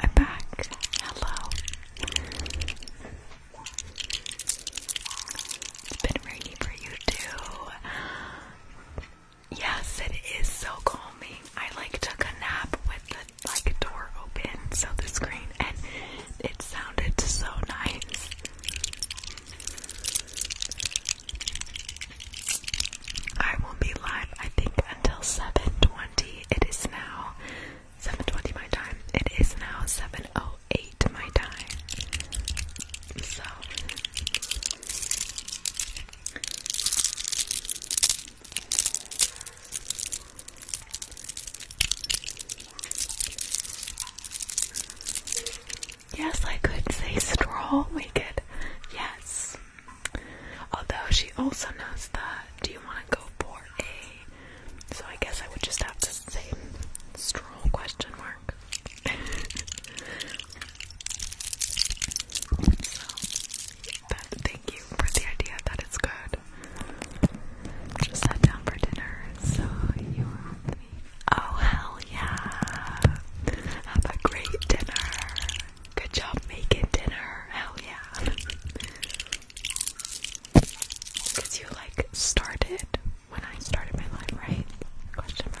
Speaker 1: I'm back. Hello. It's been rainy for you too. Yes, it is so calming. I like took a nap with the like door open, so the screen, and it sounded so nice. I will be live, I think, until 7:20. It is now 7:20 my time. It is now 7:08 my time. So Yes, I could say straw wicked. Yes. Although she also knows that. Do you want to go for a? So I guess I would just have to say strong question mark so, thank you for the idea that it's good. Just sat down for dinner, so you with me. Oh, hell yeah! Have a great dinner. Good job making dinner. Hell yeah. Because you like started when I started my life, right? Question mark.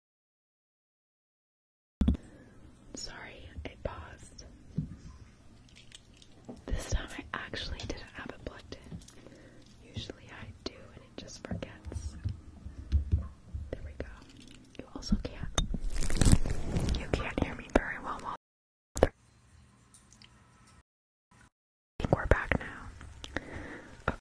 Speaker 1: Sorry, I paused. This time I actually didn't have it plugged in. Usually I do and it just forgets. There we go. You also can't. You can't hear me very well. I think we're back now.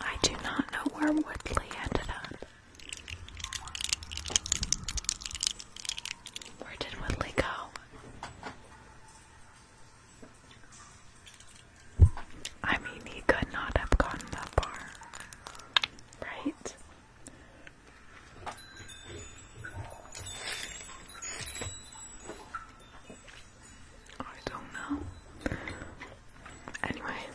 Speaker 1: I do not know where Woodley ended up. Where did Woodley go? I mean, he could not have gotten that far, right? I don't know. Anyways,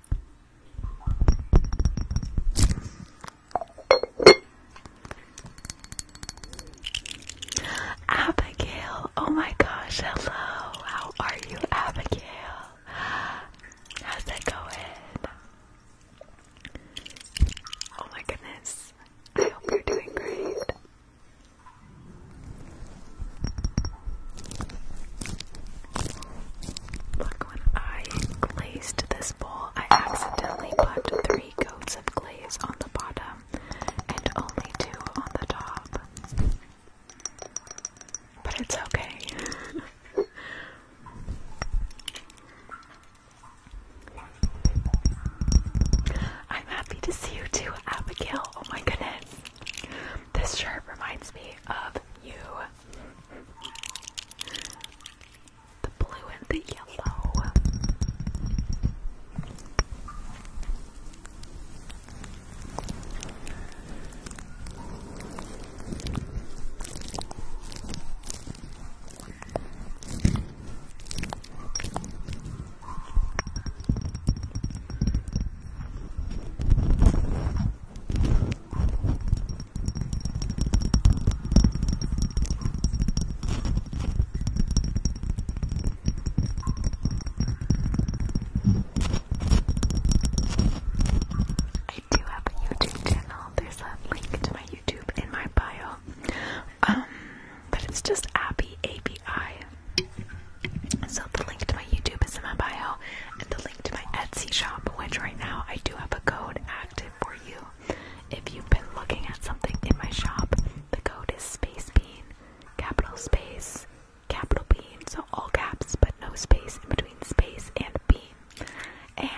Speaker 1: Abigail, oh my gosh, hello. How are you, Abigail? How's it going? Oh my goodness. I hope you're doing great. Look, when I glazed this bowl, I accidentally put three coats of glaze on the bottom and only two on the top. But it's okay. I'm happy to see you too, Abigail. Oh my goodness. This shirt reminds me of you. The blue and the yellow. I do have a YouTube channel. There's a link to my YouTube in my bio. Um, but it's just Abby ABI. So the link to my YouTube is in my bio, and the link to my Etsy shop, which right now I do have a code active for you. If you've been looking at something in my shop, the code is Space Bean, capital space, capital Bean, so all caps but no space in between space and bean. And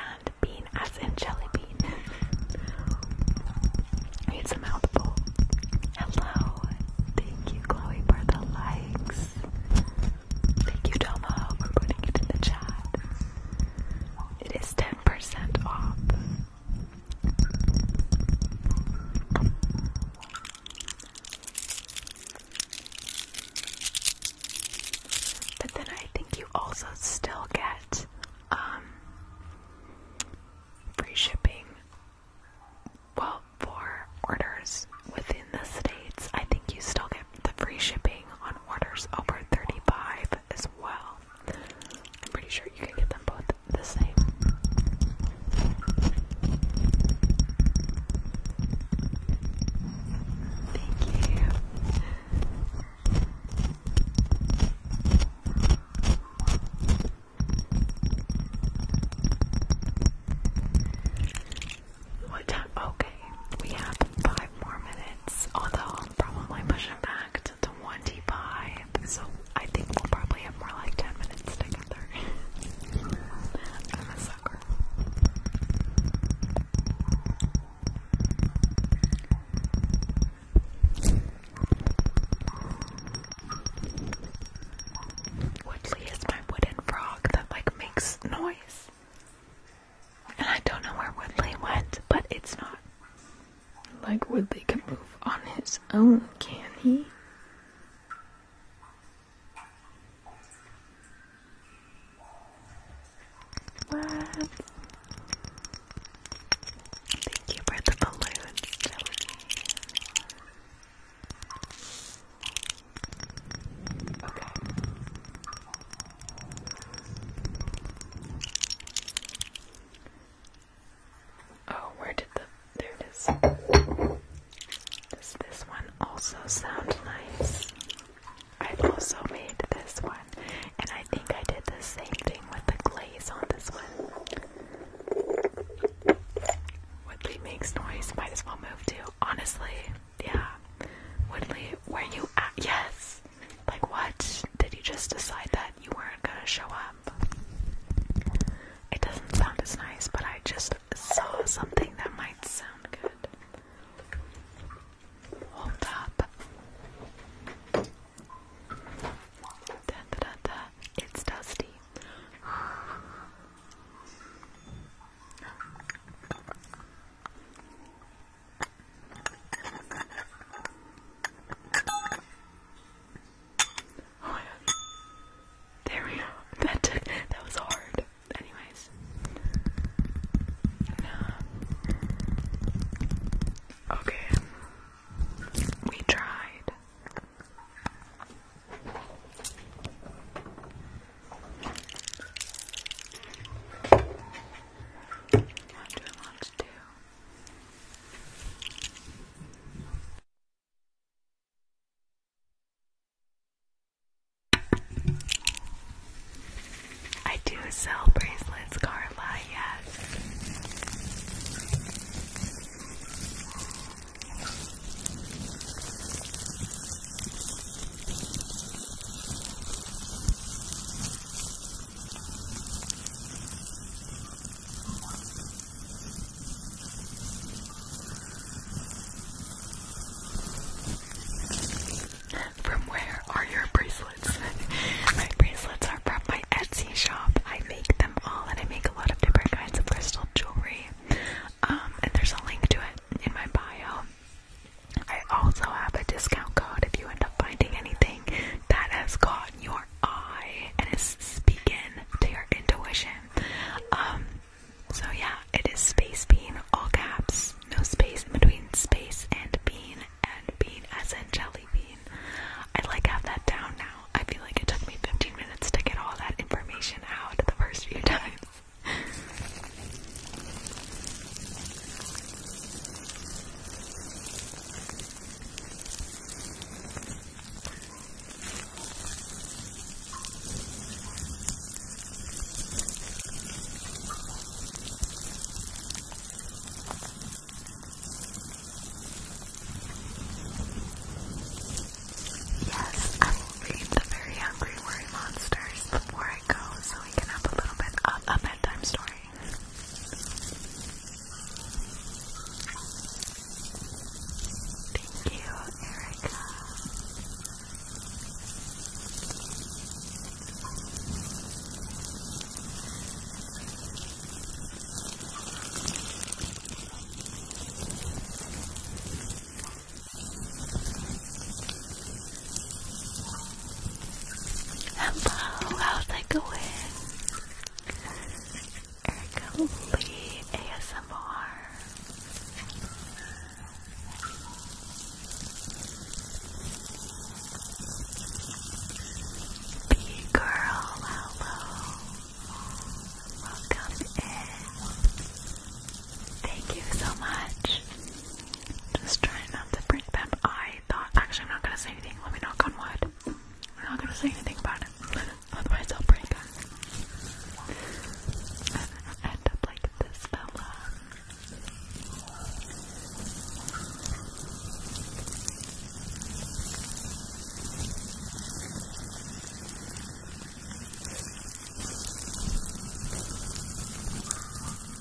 Speaker 1: bean as in jelly bean. it's a mouthful. Hello. Thank you, Chloe, for the likes. Thank you, Tomo, for putting it in the chat. It is 10% off. But then I think you also still get um free shipping. Well, for orders within the states, I think you still get the free shipping on orders over 35 as well. I'm pretty sure you can get them both the same. Thank you. What time? Okay, we have five more minutes, although I'll probably push it back to 25, so I think we'll probably have more like 10 minutes together. I'm a sucker. Woodley my wooden frog that like makes noise. And I don't know where Woodley went, but it's not like Woodley can move on his own, can he? What? Thank you for the balloons, Okay. Oh, where did the there Does this one also sound nice? i also made this one, and I think I did the same thing with the glaze on this one. Woodley makes noise, might as well move to Honestly, yeah. Woodley, were you at? Yes! Like, what? Did you just decide that you weren't gonna show up? It doesn't sound as nice, but I just saw something that might sound good. Hold up. Da, da, da, da. It's dusty. Oh there we go. That took that was hard. Anyways. Okay. We tried. I do? I do sell bracelets, Carla, yes. From where are your bracelets? my bracelets are from my Etsy shop. I make them all and I make a lot of different kinds of crystal jewelry. Um, and there's a link to it in my bio. I also have a discount code if you end up finding anything that has caught your eye and is speaking to your intuition. Um, so yeah, it is space bean, all caps, no space between space and bean, and bean as in jelly bean. I like have that down now. I feel like it took me 15 minutes to get all that information out the first few times. Yes, I will read the Very Hungry Worry Monsters before Go, so we can have a little bit of a bedtime story. Thank you, Erica. Hello, how's that going? Erica Lee ASMR. B girl, hello. Welcome in. Thank you so much. Just trying not to break them. I thought, actually, I'm not gonna say anything. Let me knock on wood. I'm not gonna say anything about it. Otherwise, I'll break them. And I'll end up like this fella.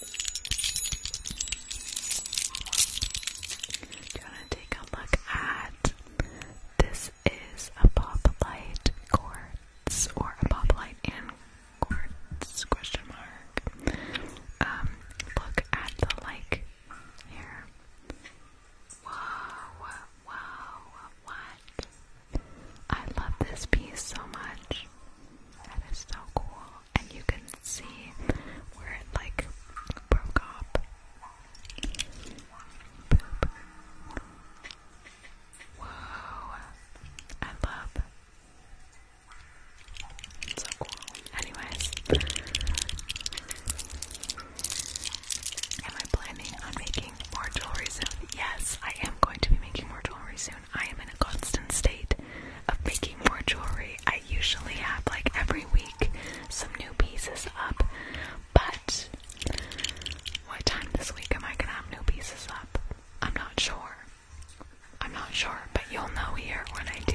Speaker 1: Do you want to take a look at this? Is a popolite quartz or a popolite and question mark? Um, look at the like here. Wow, wow, what? I love this piece so much. That is so cool and you can see where it like broke up. Whoa, I love. so cool. Anyways, am I planning on making more jewelry soon? Yes, I am going to be making more jewelry soon. I am in a constant state of making more jewelry. I usually have like every week some new pieces up, but what time this week am I gonna have new pieces up? I'm not sure. I'm not sure, but you'll know here when I do.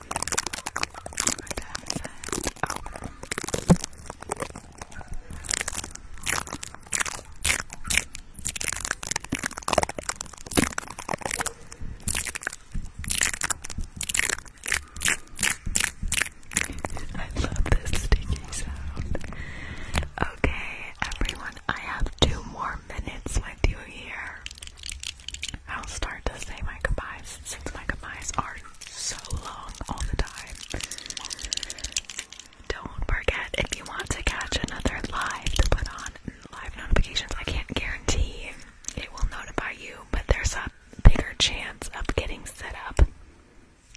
Speaker 1: I love this sticky sound. Okay, everyone, I have two more minutes with you here. I'll start to say my goodbyes since my goodbyes are so long all the time. Don't forget if you want to catch another live to put on live notifications. I can't guarantee it will notify you, but there's a bigger chance of getting set up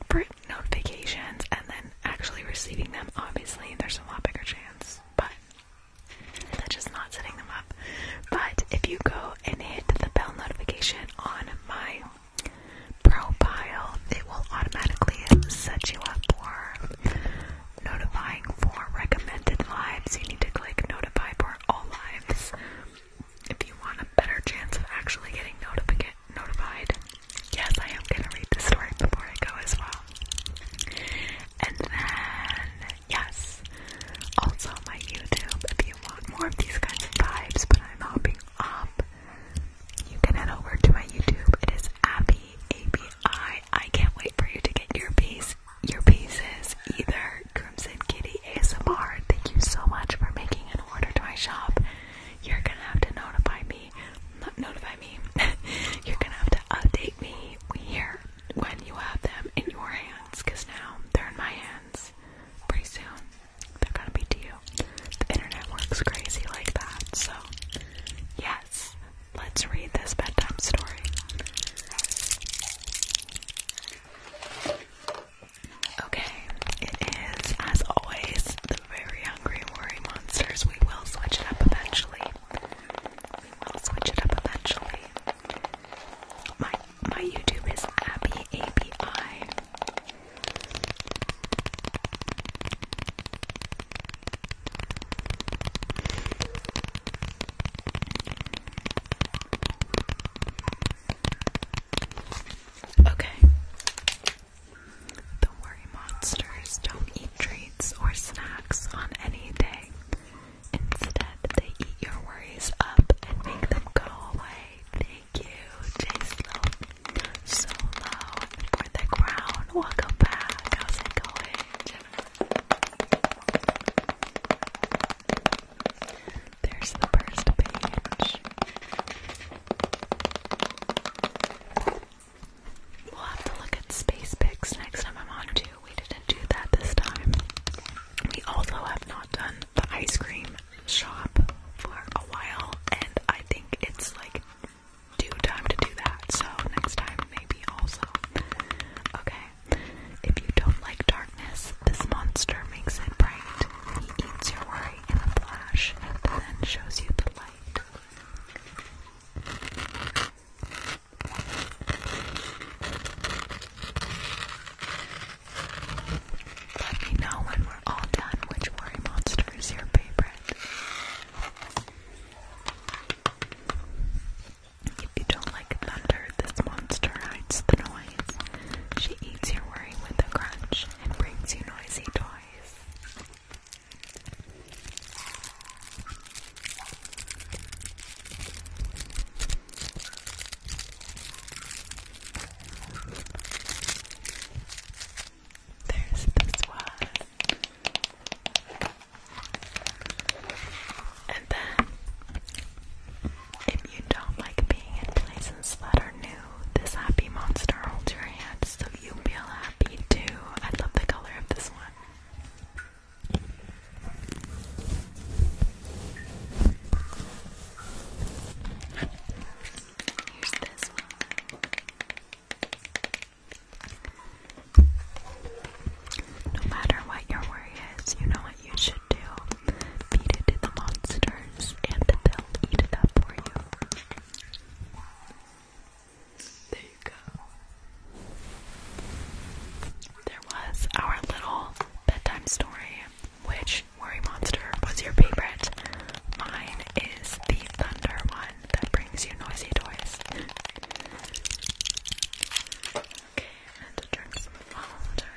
Speaker 1: for notifications and then actually receiving them. Obviously, there's a lot bigger chance, but just not setting them up. But if you go and hit the bell notification on my profile, it will automatically set you up for notifying for recommended lives. You need to click notify for all lives if you want a better chance of actually getting notified. Yes, I am gonna read the story before I go as well. And then, yes, also my YouTube if you want more of these kinds of vibes, but I'm hopping up. You can head over to my YouTube. It is Abby ABI. I can't wait for you to get your piece, your pieces. Either Crimson Kitty ASMR. Thank you so much for making an order to my shop. You're gonna have to notify me. Not notify me. You're gonna have to update me here when you have them in your hands, cause now they're in my hands. Pretty soon they're gonna be to you. The internet works crazy like that, so yes, let's read this bedtime story. Okay, it is, as always, the very hungry worry monsters. We will switch it up eventually. We will switch it up eventually. My my YouTube is Abby ABI. Okay. The worry monsters don't eat treats or snacks on any day. Instead, they eat your worries up and make them go away. Thank you, Jay Slow Solo for the crown. Welcome back. How's it going, There's the first page. We'll have to look at space pics next time I'm on too. We didn't do that this time. We also have not done the ice cream shop for a while, and I think it's like due time to do that. So next time, maybe also. Okay. If you don't like darkness, this monster makes it bright. He eats your worry in a flash, and then shows you the light. Let me know when we're all done which worry monster is your favorite. If you don't like thunder, this monster hides the noise. She eats your worry with a crunch and brings you noisy toys. There's this one. And then, if you don't like being in places that are new, this happy monster holds your hand so you feel happy too. I love the color of this one. No matter what your worry is, you know what you should do. Feed it to the monsters and they'll eat it for you. There you go. There was our little bedtime story, which Mori monster was your favorite. Mine is the thunder one that brings you noisy toys. okay, and to drink some water.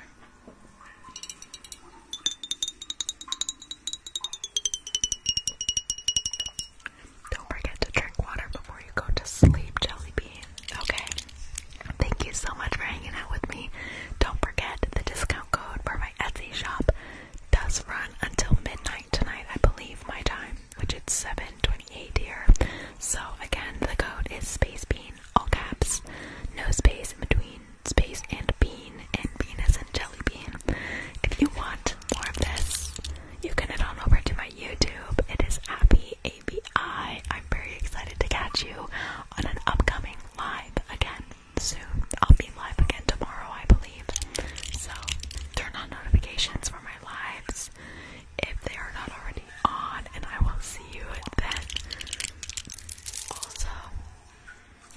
Speaker 1: Don't forget to drink water before you go to sleep, Jelly Bean. Okay. Thank you so much for hanging out with me. Don't forget the discount code for my. Etsy shop does run until midnight tonight, I believe, my time, which is 7:28 here. So again, the code is space bean, all caps, no space in between, space and bean, and bean is in jelly bean. If you want more of this, you can head on over to my YouTube. It is Abby ABI. I'm very excited to catch you on an upcoming live again soon. I'll be live again tomorrow, I believe. So turn on notifications for my lives if they are not already on, and I will see you then. Also,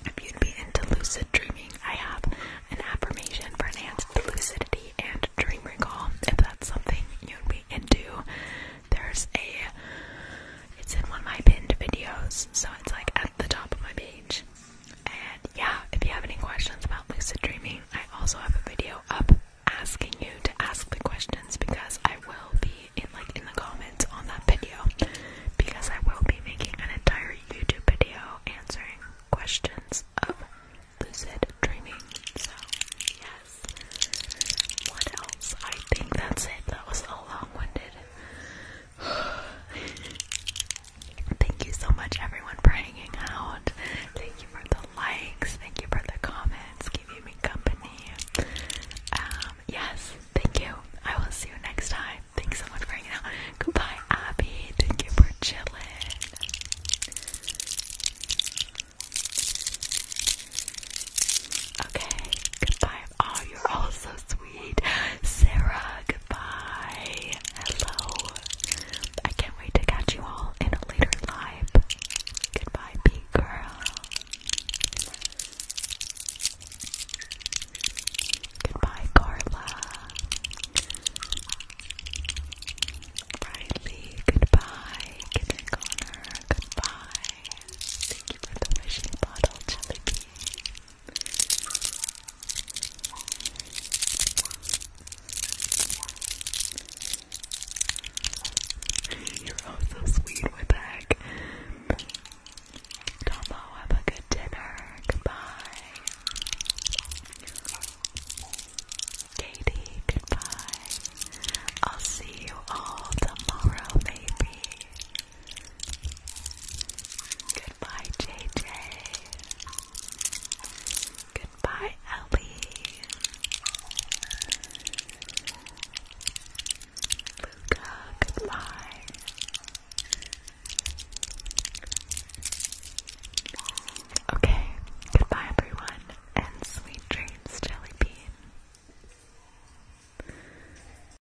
Speaker 1: if you'd be into lucid dreaming, I have an affirmation for enhanced lucidity and dream recall. If that's something you'd be into, there's a. It's in one of my pinned videos, so it's like at the top of my page. And yeah, if you have any questions about lucid dreaming, I also have a video up asking you to ask the questions because I will be in like in the comments on that video because I will be making an entire YouTube video answering questions of lucid dreaming. So yes. What else? I think that's it. That was all long-winded Thank you so much, everyone, for hanging out. Thank you for the likes. Thank you for the comments, Keeping me company. Um, yes, thank you. I will see you next time. Thanks so much for hanging out. Goodbye, Abby. Thank you for chilling. Okay, goodbye. Oh, you're all so sweet. Sarah, goodbye. Hello. I can't wait to catch you all in a later live. Goodbye, big girl. Goodbye, Carla. Riley, goodbye. Kitten Connor, goodbye. Thank you for the wishing bottle, Jelly you're so sweet, Whippack. Tomo, have a good dinner. Goodbye. Katie, goodbye. I'll see you all tomorrow, maybe. Goodbye, JJ. Goodbye, Ellie. Luca, goodbye. Okay, goodbye everyone, and sweet dreams, Jelly